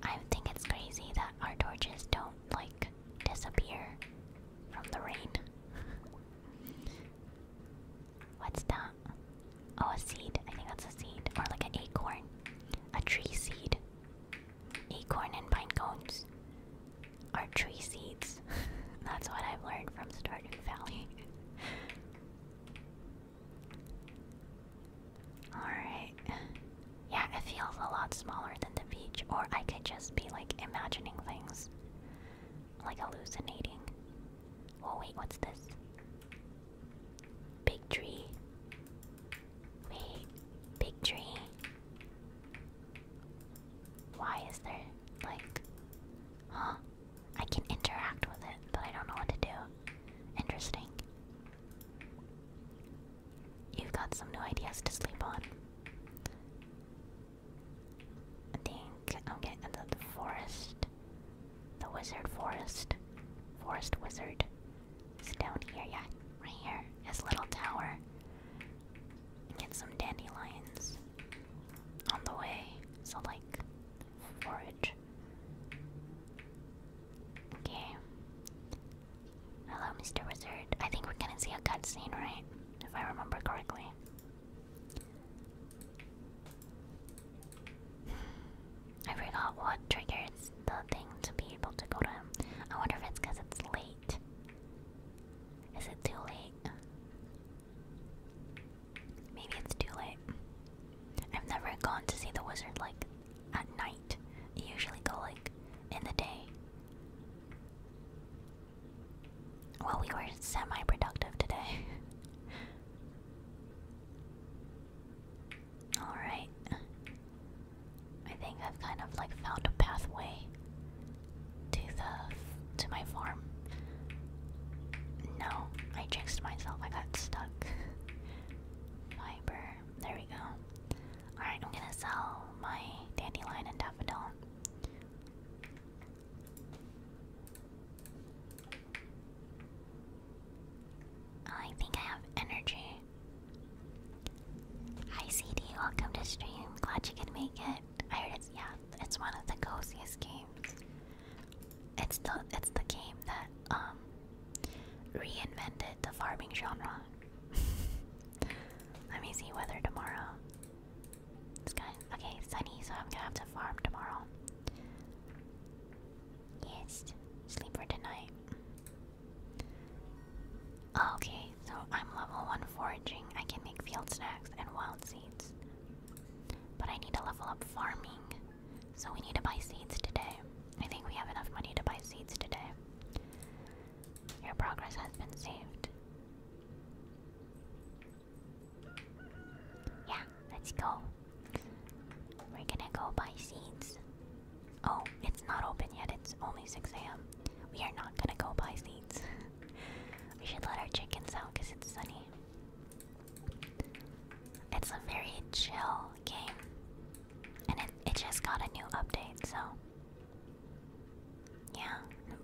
I think it's crazy that our torches don't like disappear from the rain. *laughs* What's that? Oh, a seed. I think that's a seed. Or like an acorn. A tree seed. Acorn and pine cones are tree seeds. *laughs* that's what I've learned from Stardew Valley. *laughs* Alright. Yeah, it feels a lot smaller than the beach, or I could just be like imagining things, like hallucinating. Oh wait, what's this? Big tree. Wait, big tree. Why is there like huh? I can interact with it, but I don't know what to do. Interesting. You've got some new ideas to sleep on. I think I'm getting into the forest. The wizard forest. Forest wizard. is down here, yeah. Right here. His little tower. Get some dandelions on the way. So like forage. Okay. Hello, Mr. Wizard. I think we're gonna see a cutscene, right? If I remember correctly. I forgot what triggers the thing to be able to go to him. I wonder if it's because it's late. Is it too late? Maybe it's too late. I've never gone to see the wizard like at night. I usually go like in the day. Well, we were semi productive today. *laughs* Alright. I think I've kind of like found a pathway to the to my farm. No, I jinxed myself. I got stuck. Fiber. There we go. Alright, I'm gonna sell my dandelion and daffodil. Oh, I think I have energy. Hi welcome to stream. Glad you could make it. I heard yeah, it's one of the coziest games. It's the it's the game that um reinvented the farming genre. *laughs* Let me see weather tomorrow. It's okay, sunny, so I'm gonna have to farm tomorrow. Yes, sleep for tonight. Okay, so I'm level 1 foraging. I can make field snacks and wild seeds. But I need to level up farming. So we need to buy seeds today. I think we have enough money to buy seeds today. Your progress has been saved. Yeah, let's go. We're gonna go buy seeds. Oh, it's not open yet, it's only 6 a.m. We are not gonna go buy seeds. *laughs* we should let our chickens out because it's sunny. It's a very chill game. And it, it just got a new update, so. Yeah,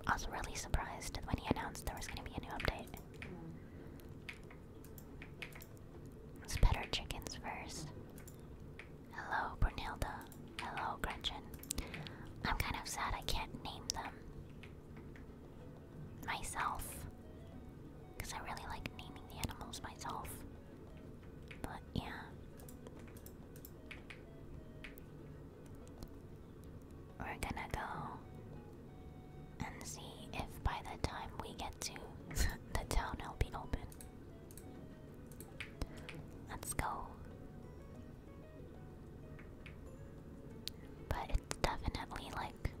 I was really surprised when he announced there was gonna be a new update. Let's pet our chickens first. Hello, Brunhilda. Hello, Gretchen. I'm kind of sad I can't name them myself. Because I really like naming the animals myself. But yeah. We're gonna go and see if by the time we get to *laughs* the town it'll be open. Let's go. But it's definitely like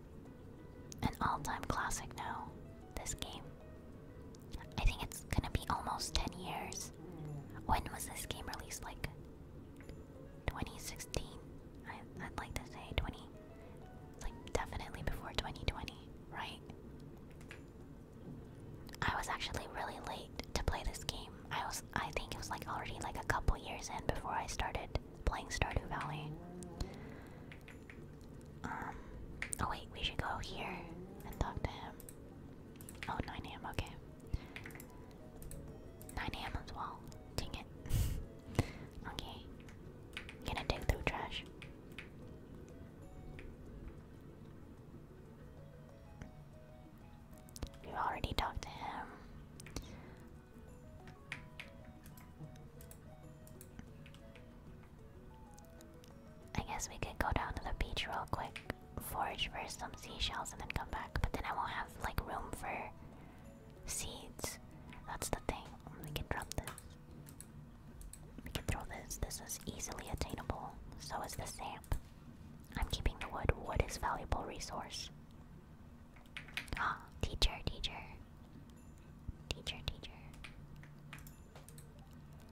an all-time classic now, this game. I think it's gonna be almost 10 years. When was this game released? Like 2016? I, I'd like to say 20. Like, definitely before 2020, right? I was actually really late to play this game. I was, I think it was like already like a couple years in before I started playing Stardew Valley. Um, oh wait, we should go here and talk to him. Oh, 9 a.m., okay. 9 a.m. as well. Take it. *laughs* okay. Gonna dig through trash. We already talked to him. I guess we could go down to the beach real quick, forage for some seashells, and then come back. But then I won't have like room for seeds. That's the thing. We can drop this. We can throw this. This is easily attainable. So is the sap. I'm keeping the wood. Wood is valuable resource. Ah, oh, teacher, teacher. Teacher, teacher.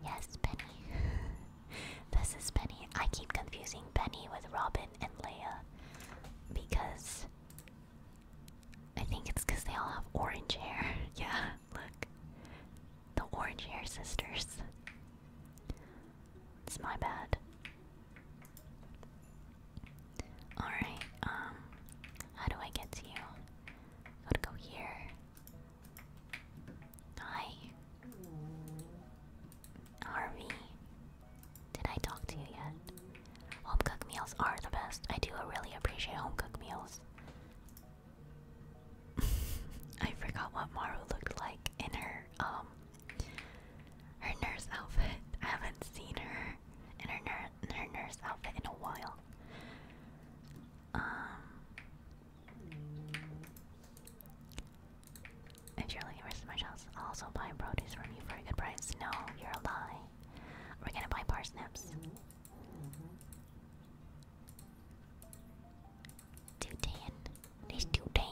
Yes, Penny. *laughs* this is Penny. I keep confusing Penny with Robin and Leia because I think it's because they all have orange hair. *laughs* yeah, look. The orange hair sisters. It's my bad. Alright, um, how do I get to you? Gotta go here. Hi. Harvey. Did I talk to you yet? Home cooked meals are the best. I do really appreciate home cooked meals. *laughs* I forgot what Maru looked like in her um her nurse outfit. I haven't seen her in her nur nurse outfit in a while. Um, if you're looking for smash house, I'll also buy produce from you for a good price. No, you're a lie. We're gonna buy parsnips. Two ten. There's two ten.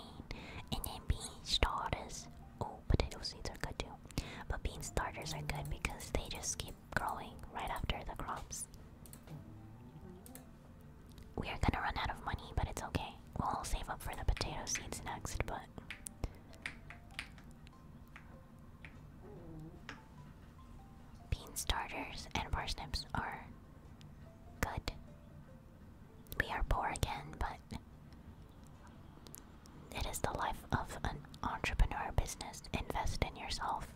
And then bean starters. Oh, potato seeds are good too. But bean starters are good because they just keep growing right after the crops. We are gonna run out of money, but it's okay. We'll save up for the potato seeds next, but Bean starters and parsnips are good. We are poor again, but it is the life of an entrepreneur business. Invest in yourself.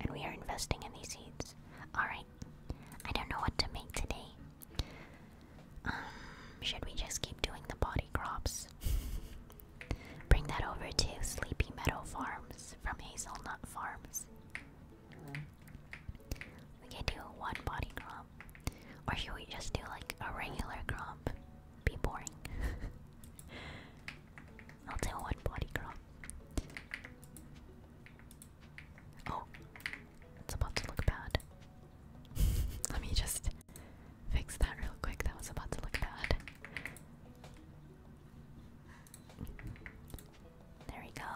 And we are investing in these seeds. Alright, I don't know what to make today. Um, should we just keep doing the body crops? Bring that over to Sleepy Meadow Farms from Hazelnut Farms. We can do one body crop. Or should we just do like a regular crop? Be boring. *laughs* I'll do one body crop. Oh, it's about to look bad. *laughs* Let me just fix that real quick. That was about to look bad. There we go.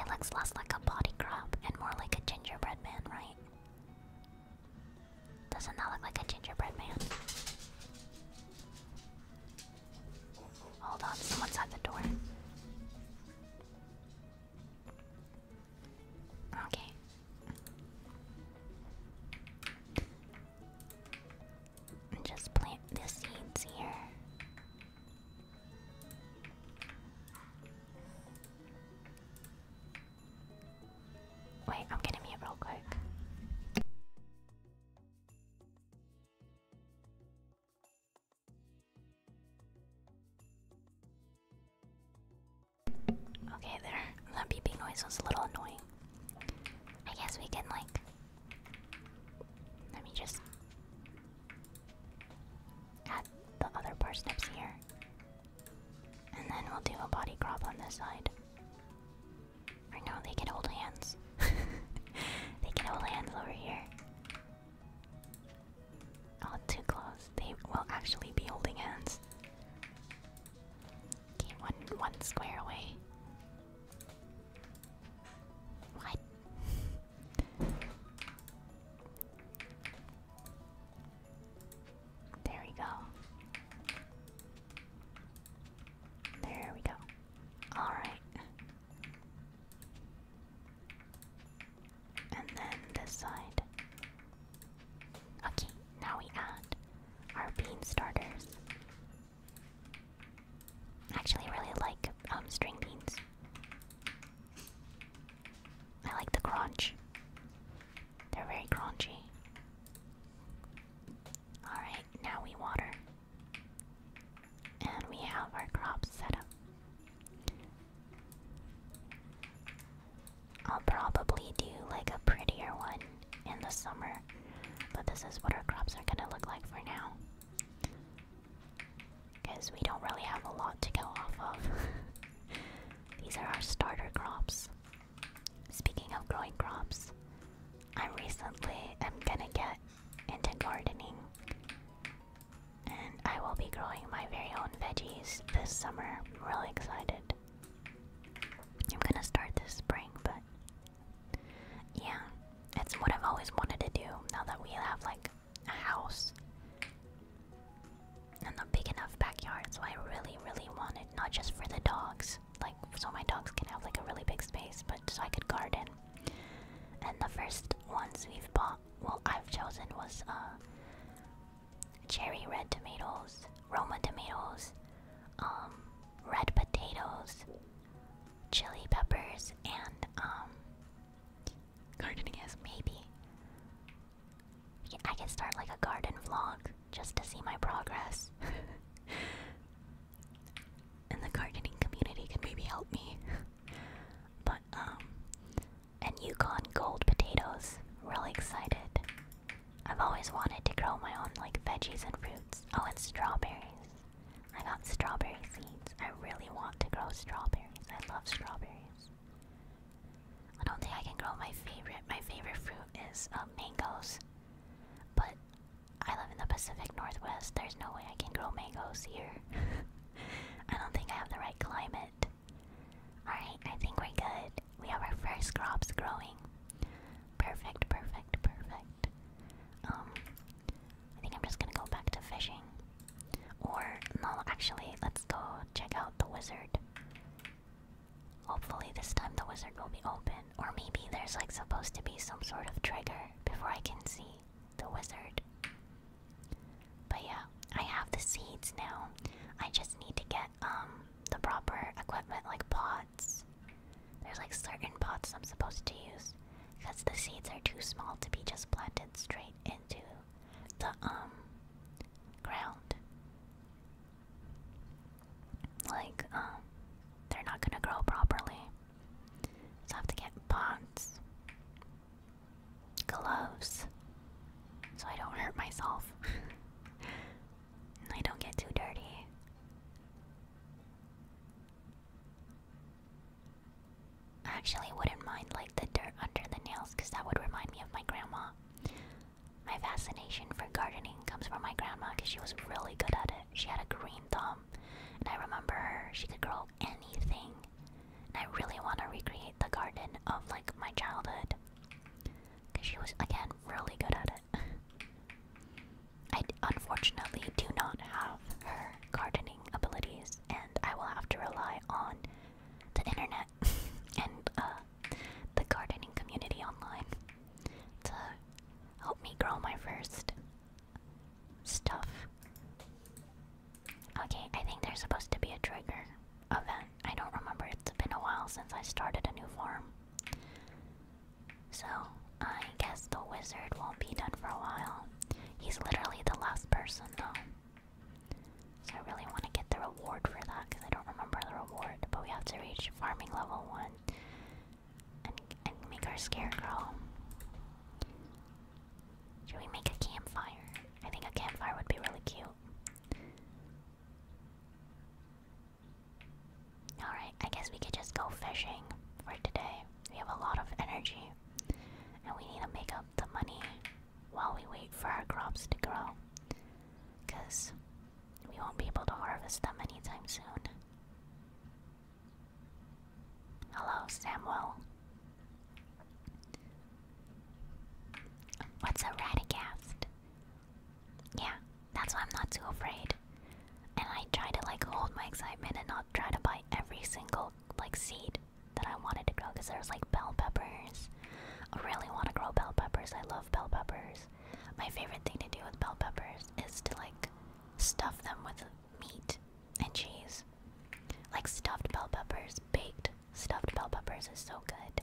It looks less like a body crop and more like a gingerbread man, right? Doesn't that look like a gingerbread man? Hold on, someone's at the door. Okay. Just plant the seeds here. Wait, I'm gonna mute real quick. Okay, there. That beeping noise was a little annoying. I guess we can, like. Let me just. add the other parsnips here. And then we'll do a body crop on this side. Or no, they can hold hands. *laughs* they can hold hands over here. All oh, too close. They will actually be holding hands. one one square away. What? there we go. There we go. Alright. And then this side. Okay, now we add our bean starters. Actually, really like um, string beans. I like the crunch. They're very crunchy. Alright, now we water. And we have our crops set up. I'll probably do like a prettier one in the summer, but this is what our crops are gonna look like for now. Because we don't really have a lot to go off of. *laughs* These are our starter crops. Speaking of growing crops, I recently am gonna get into gardening. And I will be growing my very own veggies this summer. I'm really excited. I'm gonna start this spring, but yeah, it's what I've always wanted to do now that we have like a house and a big enough backyard. So I really, really wanted not just for the dogs, like so my dogs can have like a really big space, but I could garden. And the first ones we've bought, well, I've chosen was uh, cherry red tomatoes, Roma tomatoes, um, red potatoes, chili peppers, and um, gardening as maybe. I can start like a garden vlog just to see my progress. *laughs* and the gardening community can maybe help me. *laughs* but um and Yukon gold potatoes. Really excited. I've always wanted to grow my own like veggies and fruits. Oh, and strawberries. I got strawberry seeds. I really want to grow strawberries. I love strawberries. I don't think I can grow my favorite. My favorite fruit is um, mangoes. But I live in the Pacific Northwest. There's no way I can grow mangoes here. *laughs* I don't think I have the right climate. Alright, I think we're good. We have our first crops growing. Perfect, perfect, perfect. Um, I think I'm just gonna go back to fishing. Or, no, actually, let's go check out the wizard. Hopefully, this time the wizard will be open. Or maybe there's like supposed to be some sort of trigger before I can see the wizard. But yeah, I have the seeds now. I just need to get um the proper equipment like pots. There's like certain pots I'm supposed to use because the seeds are too small to be just planted straight into the um ground. Like um they're not gonna grow properly. So I have to get pots, gloves, so I don't hurt myself. *laughs* and I don't get too dirty. actually wouldn't mind like the dirt under the nails because that would remind me of my grandma. My fascination for gardening comes from my grandma because she was really good at it. She had a green thumb. And I remember her, she could grow anything. And I really want to recreate the garden of like my childhood. Because she was, again, really good at it. I unfortunately do not have her gardening abilities, and I will have to rely on the internet *laughs* and uh, the gardening community online to help me grow my first stuff. Okay, I think there's supposed to be a trigger event. I don't remember. It's been a while since I started a new farm. So, I guess the wizard won't be done for a while. He's literally the last person, though. So, I really want to get the reward for that because I don't remember the reward. But we have to reach farming level 1 and, make our scarecrow. Should we make a campfire? I think a campfire would be really cute. Alright, I guess we could just go fishing for today. We have a lot of energy, and we need to make up the money while we wait for our crops to grow. Because we won't be able to harvest them anytime soon. Hello, Samuel. What's a Radagast? Yeah, that's why I'm not too afraid. And I try to like hold my excitement and not try to buy every single like seed that I wanted to grow because there's like bell peppers. I really want to grow bell peppers. I love bell peppers. My favorite thing to do with bell peppers is to like stuff them with meat and cheese. Like stuffed bell peppers, baked stuffed bell peppers is so good.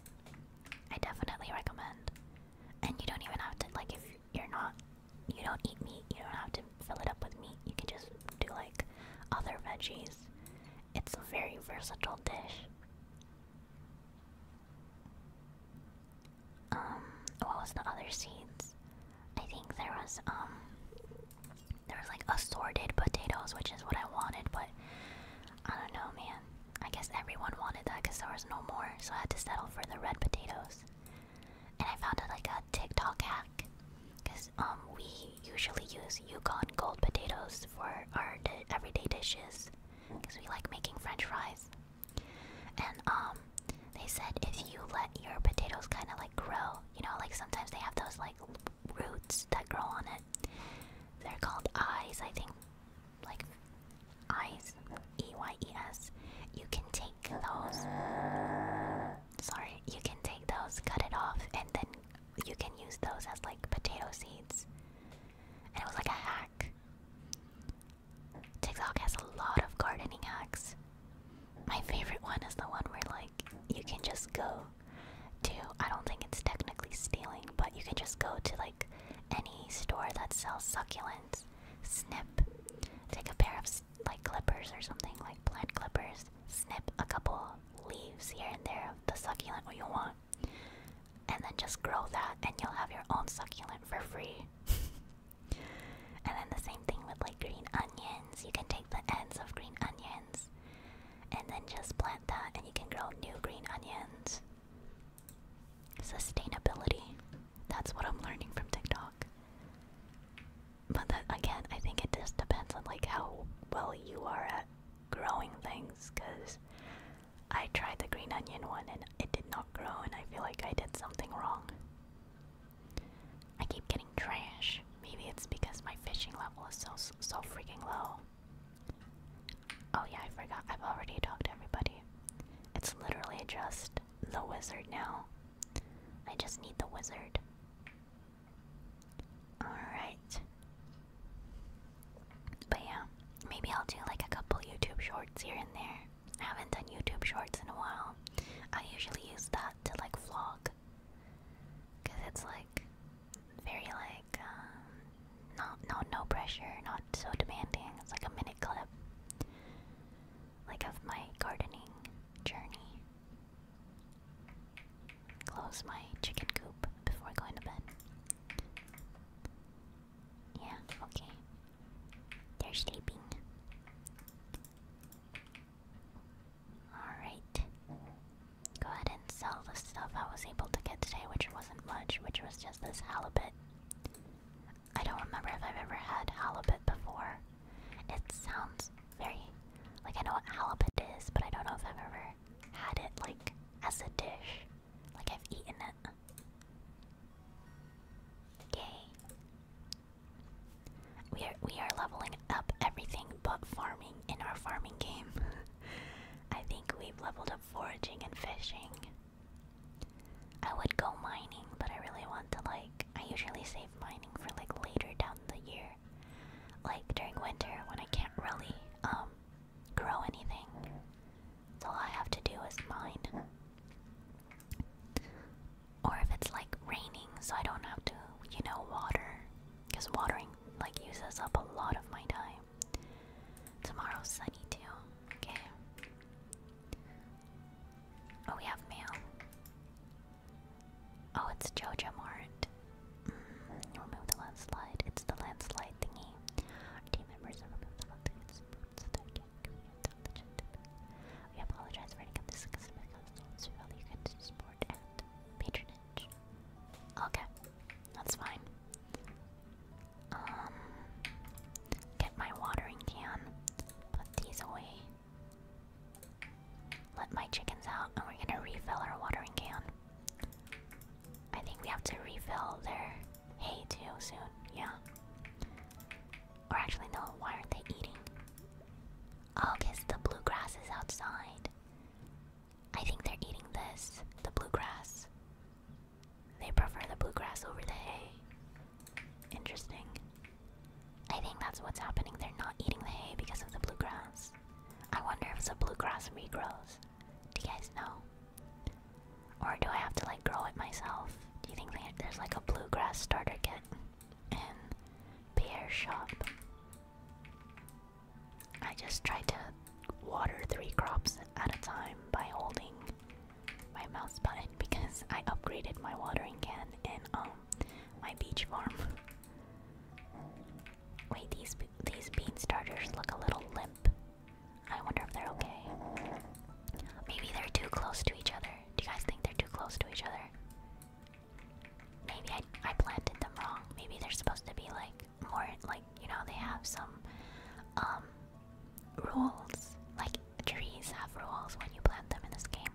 I definitely recommend. And you don't even have to like if you're not you don't eat meat, you don't have to fill it up with meat. You can just do like other veggies. It's a very versatile dish. Um, what was the other seeds? I think there was um there was like assorted potatoes, which is what I wanted, but I don't know, man. I guess everyone wanted that because there was no more, so I had to settle for the red potatoes. And I found a, like a TikTok hack, because um we usually use Yukon gold potatoes for our everyday dishes, because we like making French fries. And um they said if you let your potatoes kind of like grow, you know, like sometimes they have those like roots that grow on it. They're called eyes, I think. Like eyes, E Y E S. You can take those. Sorry, you can take those, cut it off, and then you can use those as like potato seeds. And it was like a hack. TikTok has a lot of gardening hacks. My favorite one is the one where like you can just go to I don't think it's technically stealing, but you can just go to like any store that sells succulents, snip, take a pair of like clippers or something like plant clippers, snip a couple leaves here and there of the succulent what you want, and then just grow that, and you'll have your own succulent for free. *laughs* And then the same thing with like green onions. You can take the ends of green onions and then just plant that, and you can grow new green onions. Sustainability. That's what I'm learning from TikTok. But that, again, I think it just depends on like how well you are at growing things. Cause I tried the green onion one and it did not grow, and I feel like I did something wrong. I keep getting trash. Maybe it's because my fishing level is so so freaking low. Oh yeah, I forgot. I've already talked to everybody. It's literally just the wizard now. I just need the wizard. Alright. But yeah, maybe I'll do like a couple YouTube shorts here and there. haven't done YouTube shorts in a while. I usually use that to like vlog Cause it's like very like um, not no pressure, not so demanding. It's like a minute clip, like of my gardening journey. Close my chicken coop before going to bed. Yeah, okay. They're sleeping. Alright. Go ahead and sell the stuff I was able to get today, which wasn't much, which was just this halibut. I don't remember if I've ever had halibut before. It sounds very. like I know what halibut is, but I don't know if I've ever had it, like, as a dish. Like I've eaten it. Okay. We are we are leveling up everything but farming in our farming game. *laughs* I think we've leveled up foraging and fishing. I would go mining, but I really want to like I usually save mining for like later down the year. Like during winter when I can't really um grow anything. So all I have to do is mine or if it's like raining so I don't have to, you know, water because watering like uses up a lot of my time. Tomorrow's sunny too. Okay. Oh, we have mail. Oh, it's Jojo Mart. Mm, remove the landslide. It's the landslide thingy. team members have the landslide we apologize for any of this patronage. Okay, that's fine. Um, get my watering can, put these away, let my chickens out, and we're gonna refill our watering can. I think we have to refill their hay too soon, yeah. Or actually, no, why aren't they eating? Oh, guess the blue grass outside. I think they're eating this, the blue grass. They prefer the blue grass over the hay. Interesting. I think that's what's happening. They're not eating the hay because of the blue grass. I wonder if the blue grass regrows. Do you guys know? Or do I have to like grow it myself? Do you think there's like a blue grass starter kit? and pear shop. I just tried to water three crops at a time by holding my mouse button because I upgraded my watering can in um my beach farm. Wait, these these bean starters look a little limp. I wonder if they're okay. Maybe they're too close to each other. Do you guys think they're too close to each other? Maybe I, planted them wrong. Maybe they're supposed to be like more like you know they have some um rules. Like trees have rules when you plant them in this game.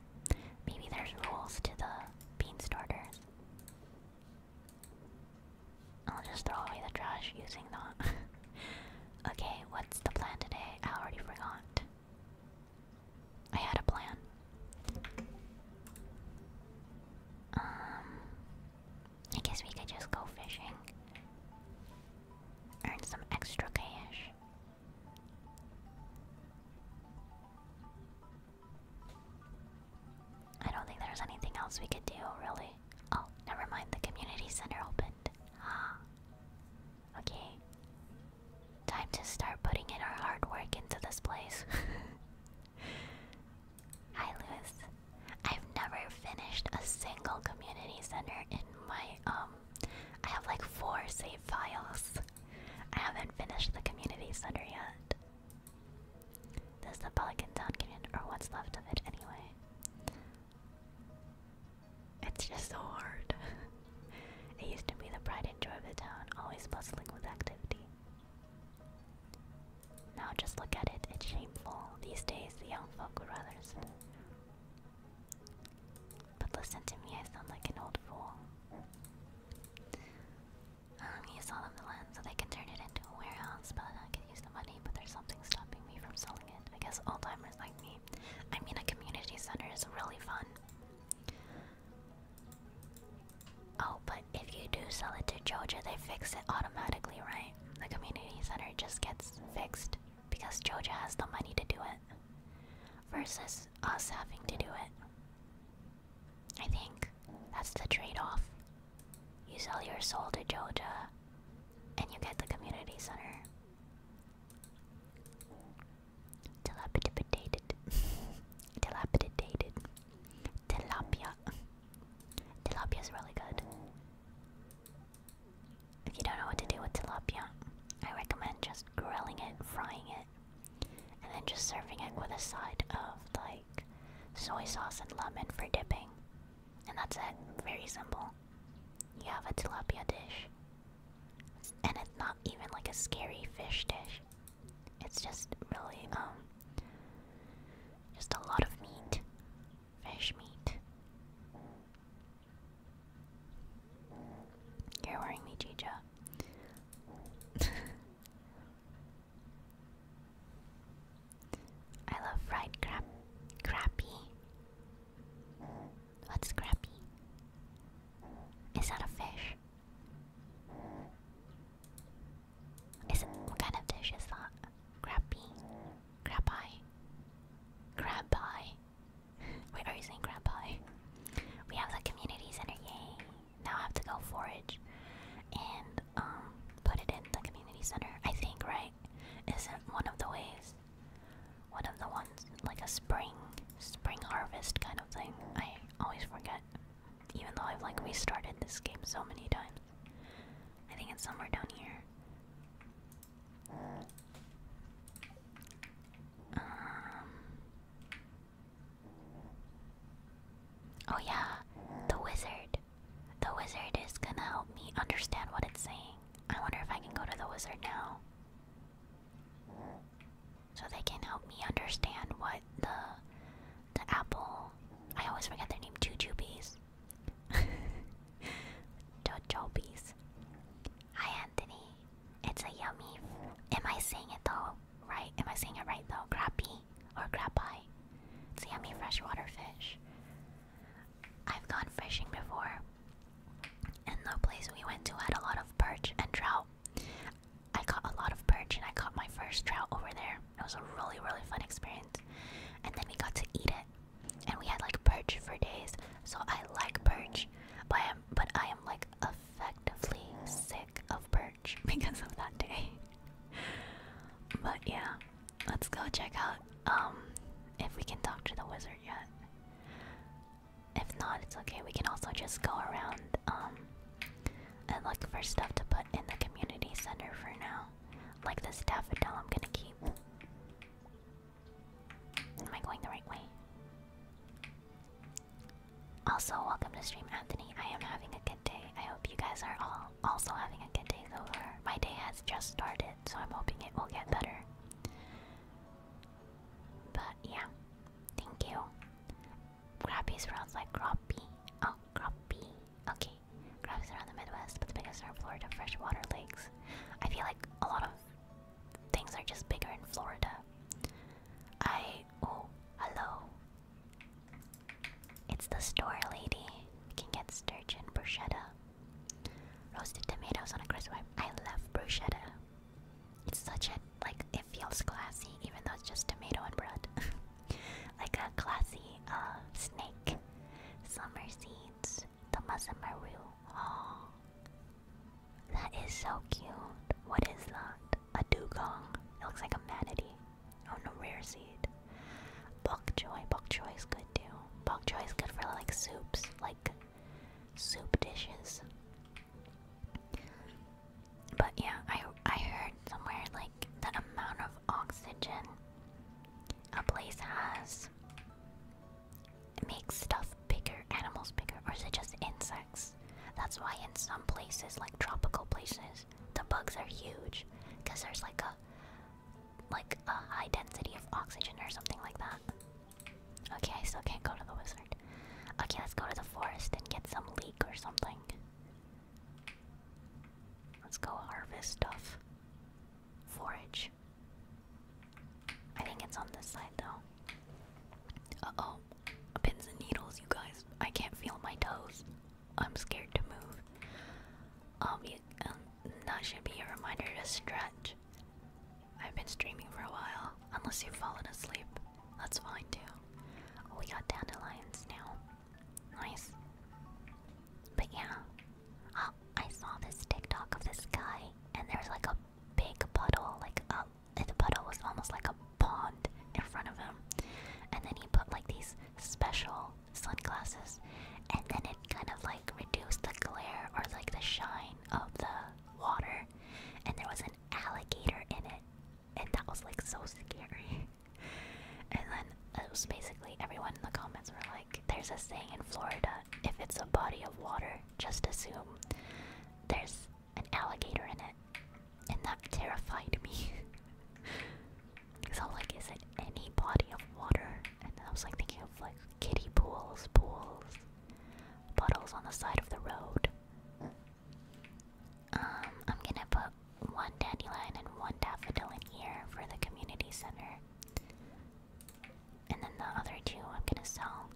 Maybe there's rules to the bean starters. I'll just throw away the trash using that. *laughs* okay, what's the plan today? I already forgot. I had a plan. Um, I guess we could just go fishing, earn some extra cash. I don't think there's anything else we could do, really. Oh, never mind. The community center opened. Ah. Okay. Time to start putting in our hard work into this place. *laughs* Hi, Lewis. I've never finished a single community center in my um. I have like four save files. I haven't finished the community center yet. This is the Pelican Town community, or what's left of it anyway. It's just so hard. *laughs* It used to be the pride and joy of the town, always bustling with activity. Now just look at it, it's shameful. These days, the young folk would rather But listen to me, I sound like an old fool. Um, you saw them the land, so they can turn it into a warehouse, but I could use the money, but there's something stopping me from selling it. I guess old timers like me. I mean, a community center is really fun. Oh, but if you do sell it to Joja, they fix it automatically, right? The community center just gets fixed because Joja has the money to do it versus us having to do it. I think that's the trade off. You sell your soul to Joja, and you get the community center. Dilapidated. Dilapidated. Tilapia. Tilapia is really good. If you don't know what to do with tilapia, I recommend just grilling it, frying it, and then just serving it with a side of like soy sauce and lemon for dipping. And that's it. Very simple. You have a tilapia dish. And it's not even like a scary fish dish. It's just really um just a lot of meat. fish meat. You're worrying me, Jija. *laughs* I love fried crap crappy. What's crappy? Is that a fish? Isn't what kind of dish is that? Crappy, crab pie, crab pie. Wait, are you saying crab pie? We have the community center, yay! Now I have to go forage and um put it in the community center. I think, right? Isn't one of the ways? One of the ones like a spring, spring harvest kind of thing. I always forget even though I've like restarted this game so many times. I think it's somewhere down here. Um, oh yeah, the wizard. The wizard is gonna help me understand what it's saying. I wonder if I can go to the wizard now so they can help me understand what the the apple. I always forget their name. Jujubees. *laughs* Jojobees. Hi Anthony. It's a yummy. Am I saying it though? Right? Am I saying it right though? Crappie or crappie? It's a yummy freshwater fish. I've gone fishing before, and the place we went to had a lot of perch and trout. I caught a lot of perch and I caught my first trout over there. It was a really, really fun experience. And then we got to eat it. And we had like perch for days. So I like perch, but I am, but I am like effectively sick of perch *laughs* because of that day. *laughs* but yeah, let's go check out um if we can talk to the wizard yet. If not, it's okay. We can also just go around um and look for stuff to put in the community center for now. Like this daffodil I'm gonna keep. Am I going the right way? Also, welcome to stream Anthony. I am having a good day. I hope you guys are all also having a good day so far. My day has just started, so I'm hoping it will get better. But yeah, thank you. Crappie around like crappie. Oh, crappie. Okay. Crappies around the Midwest, but the biggest are in Florida freshwater lakes. I feel like a lot of things are just bigger in Florida. I. Oh, hello. It's the store lady. We can get sturgeon bruschetta. Roasted tomatoes on a crisp wipe. I love bruschetta. It's such a like it feels classy, even though it's just tomato and bread. *laughs* like a classy uh, snake. Summer seeds. The Maru. Oh, that is so cute. What is that? A dugong. It looks like a manatee. Oh no, rare seed. Bok choy. Bok choy is good too. Bok choy is good for like soups, like soup dishes. But yeah, I I heard somewhere like the amount of oxygen a place has makes stuff bigger, animals bigger, or is it just insects? That's why in some places, like tropical places, the bugs are huge because there's like a like a high density of oxygen or something like that. Okay, I still can't go to the wizard. Okay, let's go to the forest and get some leek or something. Let's go harvest stuff. Forage. I think it's on this side though. Uh oh. Pins and needles, you guys. I can't feel my toes. I'm scared to move. Um, um that should be a reminder to stretch. I've been streaming for a while, unless you've fallen asleep. That's fine too. Oh, we got dandelions now. Nice. But yeah. Oh, I saw this TikTok of this guy, and there's like a big puddle, like a the puddle was almost like a pond in front of him. And then he put like these special sunglasses, and then it kind of like reduced the glare or like the shine of the water. And there was an alligator in it and that was like so scary. *laughs* and then it was basically everyone in the comments were like, "There's a saying in Florida: if it's a body of water, just assume there's an alligator in it," and that terrified me. *laughs* so like, is it any body of water? And I was like thinking of like kiddie pools, pools, puddles on the side of the road. Um, I'm gonna put one dandelion and one daffodil in here for the community center. And then the other two I'm gonna sell.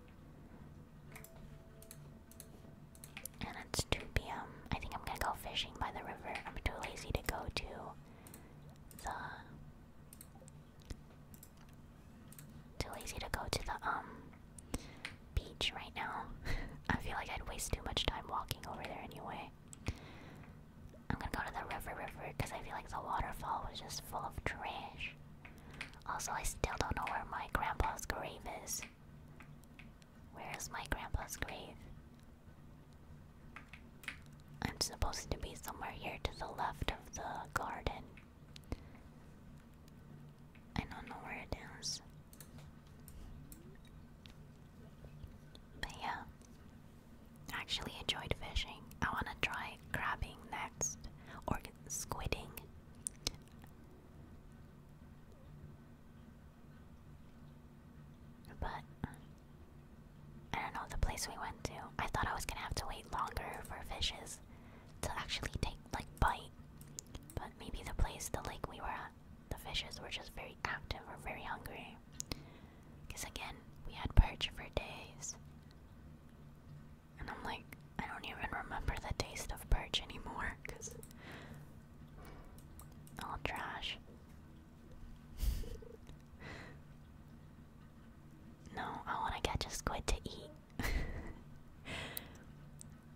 And it's 2 p.m. I think I'm gonna go fishing by the river. I'm too lazy to go to the too lazy to go to the um beach right now. *laughs* I feel like I'd waste too much time walking over there anyway. I'm gonna go to the river, river, because I feel like the waterfall was just full of trash. Also, I still don't know where my grandpa's grave is. Where is my grandpa's grave? I'm supposed to be somewhere here to the left of the garden. I don't know where it is. But yeah, I actually enjoyed fishing. I want to try crabbing next or squidding. But I don't know the place we went to. I thought I was gonna have to wait longer for fishes to actually take like bite. But maybe the place, the lake we were at the fishes were just very active or very hungry. Because again, we had perch for days. And I'm like, I don't even remember the taste of perch anymore because all trash. *laughs* no, I want to catch a squid to eat. *laughs*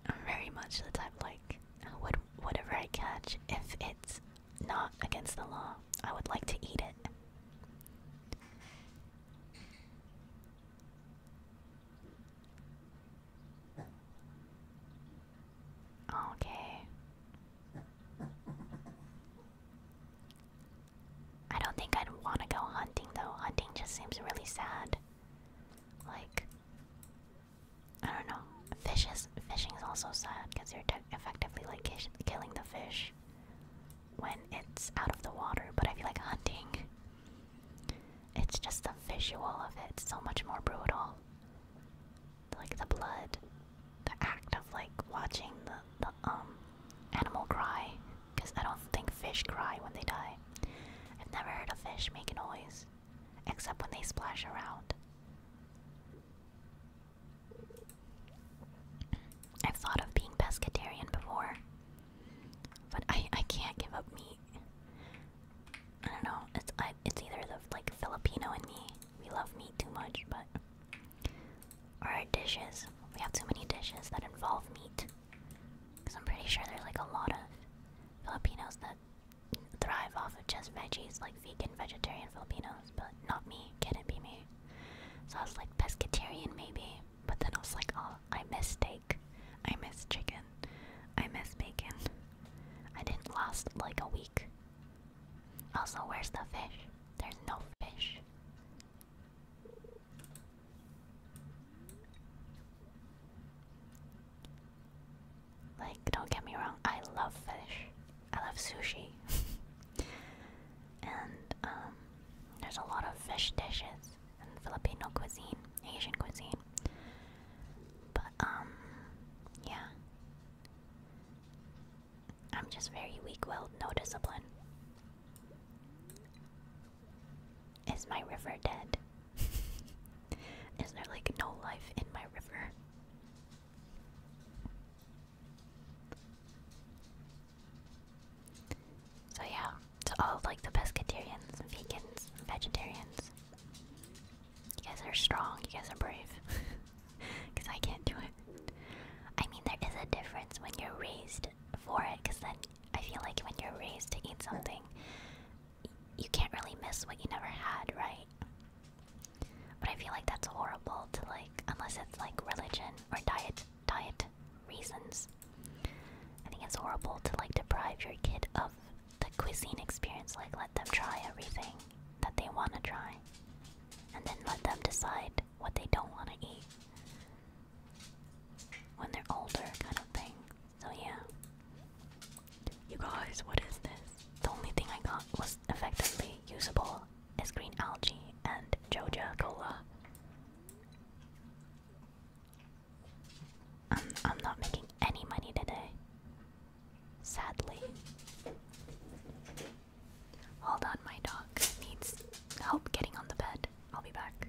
I'm very much the type like what whatever I catch, if it's not against the law, I would like to eat it. Okay. I don't think I'd want to go hunting though. Hunting just seems really sad. Like, I don't know. Fish fishing is also sad because you're effectively like killing the fish when it's out of the water. But I feel like hunting, it's just the visual of it, so much more brutal. Like the blood, the act of like watching the, um animal cry, because I don't think fish cry when they die. I've never heard a fish make a noise except when they splash around. I've thought of being pescatarian before, but I I can't give up meat. I don't know. It's it's either the like Filipino in me. We love meat too much, but or our dishes. We have too many dishes that involve meat. Cause I'm pretty sure there's like a lot of Filipinos that thrive off of just veggies like vegan, vegetarian Filipinos, but not me. can not be me. So I was like pescatarian maybe, but then I was like, oh, I miss steak. I miss chicken. I miss bacon. I didn't last like a week. Also, where's the fish? There's no fish. Like, don't get me wrong, I love fish. I love sushi. *laughs* and um, there's a lot of fish dishes in Filipino cuisine, Asian cuisine. But, um, yeah. I'm just very weak willed, no discipline. Is my river dead? *laughs* Is there like no life in my river? So yeah, to all of, like the pescatarians, vegans, vegetarians. You guys are strong, you guys are brave. *laughs* Cause I can't do it. I mean there is a difference when you're raised for it, because then I feel like when you're raised to eat something, you can't really miss what you never had, right? But I feel like that's horrible to like, unless it's like religion or diet diet reasons. I think it's horrible to like deprive your kid of the cuisine experience, like let them try everything that they want to try, and then let them decide what they don't want to eat when they're older, kind of thing. So yeah. You guys, what is this? The only thing I got was effectively usable is green algae and Joja Cola. I'm, I'm not making any money today. Sadly. Hold on, my dog needs help getting on the bed. I'll be back.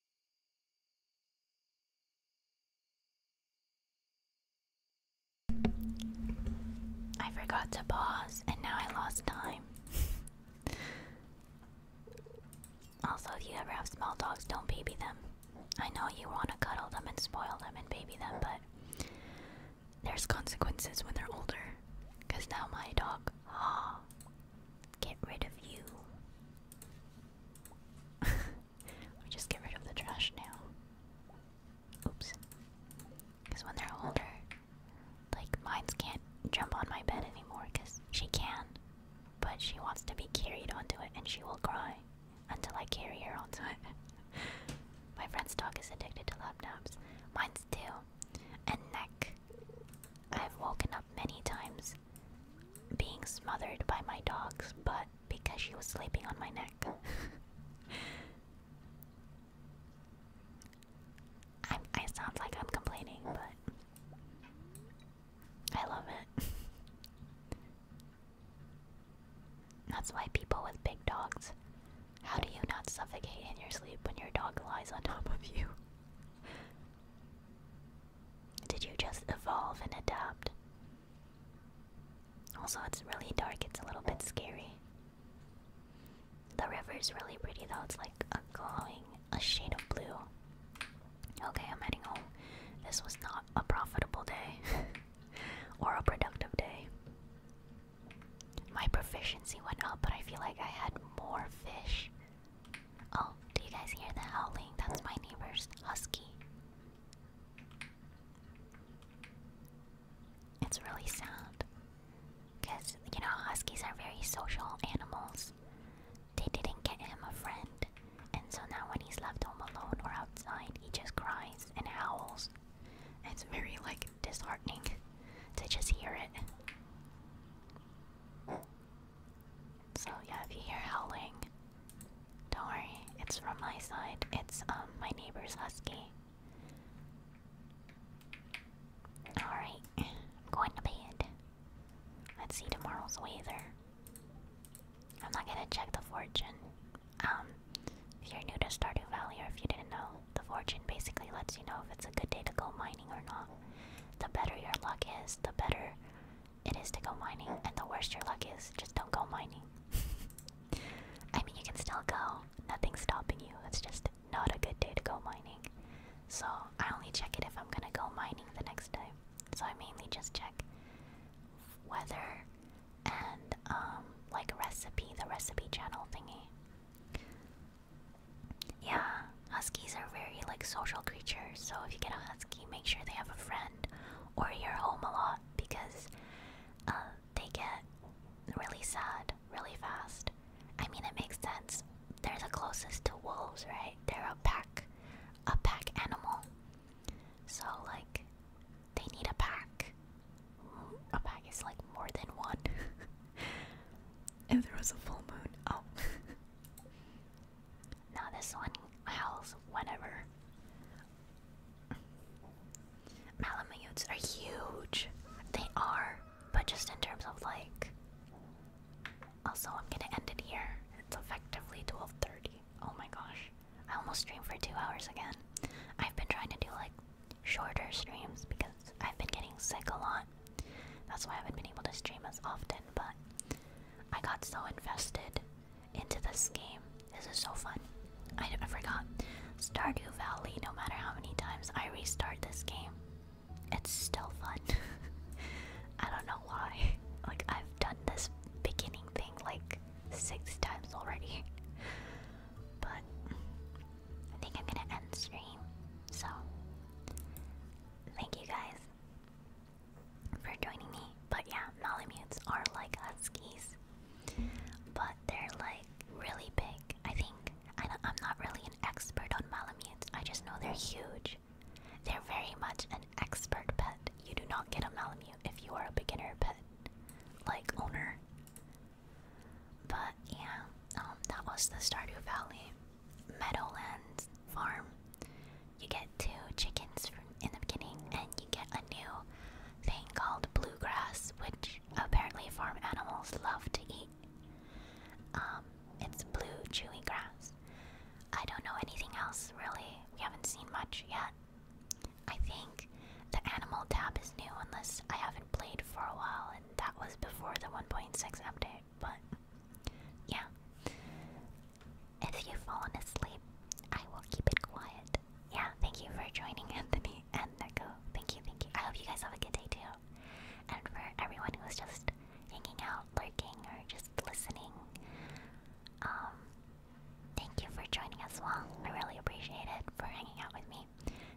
I forgot to pause and now I lost time. also, if you ever have small dogs, don't baby them. I know you want to cuddle them and spoil them and baby them, but there's consequences when they're older. Because now my dog, ah, Get rid of you. we *laughs* just get rid of the trash now. Oops. Because when they're older, like mines can't jump on my bed anymore because she can. But she wants to be carried onto it and she will cry until I carry her onto it. *laughs* my friend's dog is addicted to laptops. Mine's too. And neck. I've woken up many times being smothered by my dog's but because she was sleeping on my neck. *laughs* I sound like I'm complaining, but I love it. *laughs* That's why people with big dogs. How do you not suffocate in your sleep when your dog lies on top of you? Did you just evolve and adapt? Also, it's really dark, it's a little bit scary. The river is really pretty though, it's like a glowing, a shade of blue. Okay, I'm heading home. This was not a profitable day *laughs* or a productive day. My proficiency went up, but I feel like I had more fish Oh, do you guys hear the howling? That's my neighbor's husky. It's really sad. Because, you know, huskies are very social animals. They didn't get him a friend, and so now when he's left home alone or outside, he just cries and howls. It's very, like, disheartening *laughs* to just hear it. So yeah, if you hear howling, don't worry, it's from my side. It's um my neighbor's husky. Alright, going to bed. Let's see tomorrow's weather. I'm not gonna check the fortune. Um, if you're new to Stardew Valley or if you didn't know, the fortune basically lets you know if it's a good day to go mining or not. The better your luck is, the better it is to go mining, and the worst your luck is, just don't go mining. *laughs* I mean, you can still go, nothing's stopping you, it's just not a good day to go mining. So, I only check it if I'm gonna go mining the next day. So, I mainly just check weather and, um, like recipe, the recipe channel thingy. Yeah, huskies are very like social creatures. So if you get a husky, make sure they have a friend or you're home a lot because uh, they get really sad really fast. I mean, it makes sense. They're the closest to wolves, right? They're a pack, a pack animal. So like, they need a pack. A pack is like more than one. *laughs* if there was a full moon, oh. *laughs* Now this one howls whenever. Malamutes are huge. They are, but just in terms of like. Also, I'm gonna end it here. It's effectively 12:30. Oh my gosh, I almost streamed for two hours again. I've been trying to do like shorter streams because I've been getting sick a lot. That's why I haven't been able to stream as often. But I got so invested into this game. This is so fun. I, I forgot. Stardew Valley, no matter how many times I restart this game, it's still fun. *laughs* I don't know why. *laughs* Like, I've done this beginning thing like six times already. *laughs* But I think I'm gonna end stream. So, thank you guys for joining me. But yeah, Malamutes are like huskies, but they're like really big. I think I am not really an expert on Malamutes. I just know they're huge. They're very much an expert pet. You do not get a Malamute if you are a beginner pet like owner. But yeah, um, that was the Stardew Valley Meadowlands farm you get two chickens in the beginning, and you get a new thing called bluegrass, which apparently farm animals love to eat. Um, it's blue chewy grass. I don't know anything else really. We haven't seen much yet. I think the animal tab is new unless I haven't played for a while, and that was before the 1.6 update but yeah. If you've fallen asleep, I will keep it quiet. Yeah, thank you for joining Anthony and Neko. Thank you, thank you. I hope you guys have a good day too. And for everyone who's just hanging out, lurking, or just listening, um, thank you for joining us well. I really appreciate it for hanging out with me.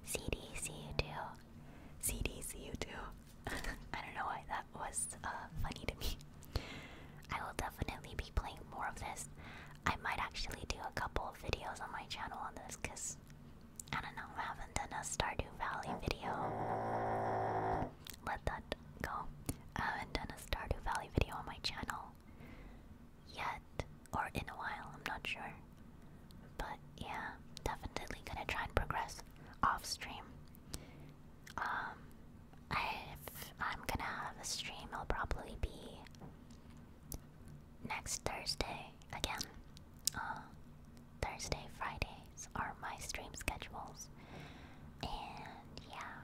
CD, see you too. CD, see you too. *laughs* I don't know why that was uh, funny to me. I will definitely be playing more of this. I might actually do a couple of videos on my channel on this because I don't know, I haven't done a Stardew Valley video. Let that go. I haven't done a Stardew Valley video on my channel yet, or in a while, I'm not sure. But yeah, definitely gonna try and progress off stream. Um, if I'm gonna have a stream, it'll probably be next Thursday again. Uh, Thursday, Fridays are my stream schedules. And yeah,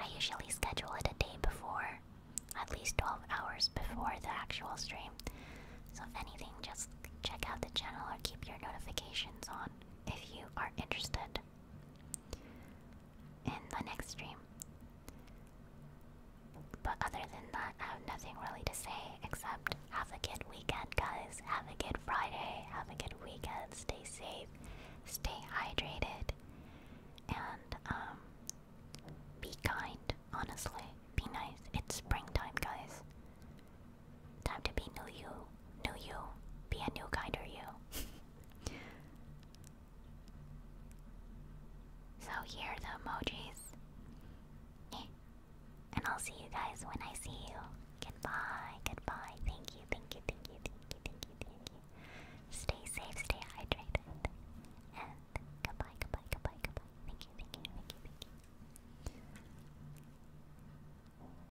I usually schedule it a day before, at least 12 hours before the actual stream. So, if anything, just check out the channel or keep your notifications on if you are interested in the next stream. But other than that, I have nothing really to say except have a good weekend, guys. Have a good Friday. Have a good weekend. Stay safe. Stay hydrated. And, um, be kind, honestly. Be nice. It's springtime, guys. Time to be new you. New you. Be a new kinder you. *laughs* so here are the emojis. And I'll see you guys when I see you. Goodbye, goodbye. Thank you, thank you, thank you, thank you, thank you, thank you. Stay safe, stay hydrated. And goodbye, goodbye, goodbye, goodbye. Thank you, thank you, thank you, thank you.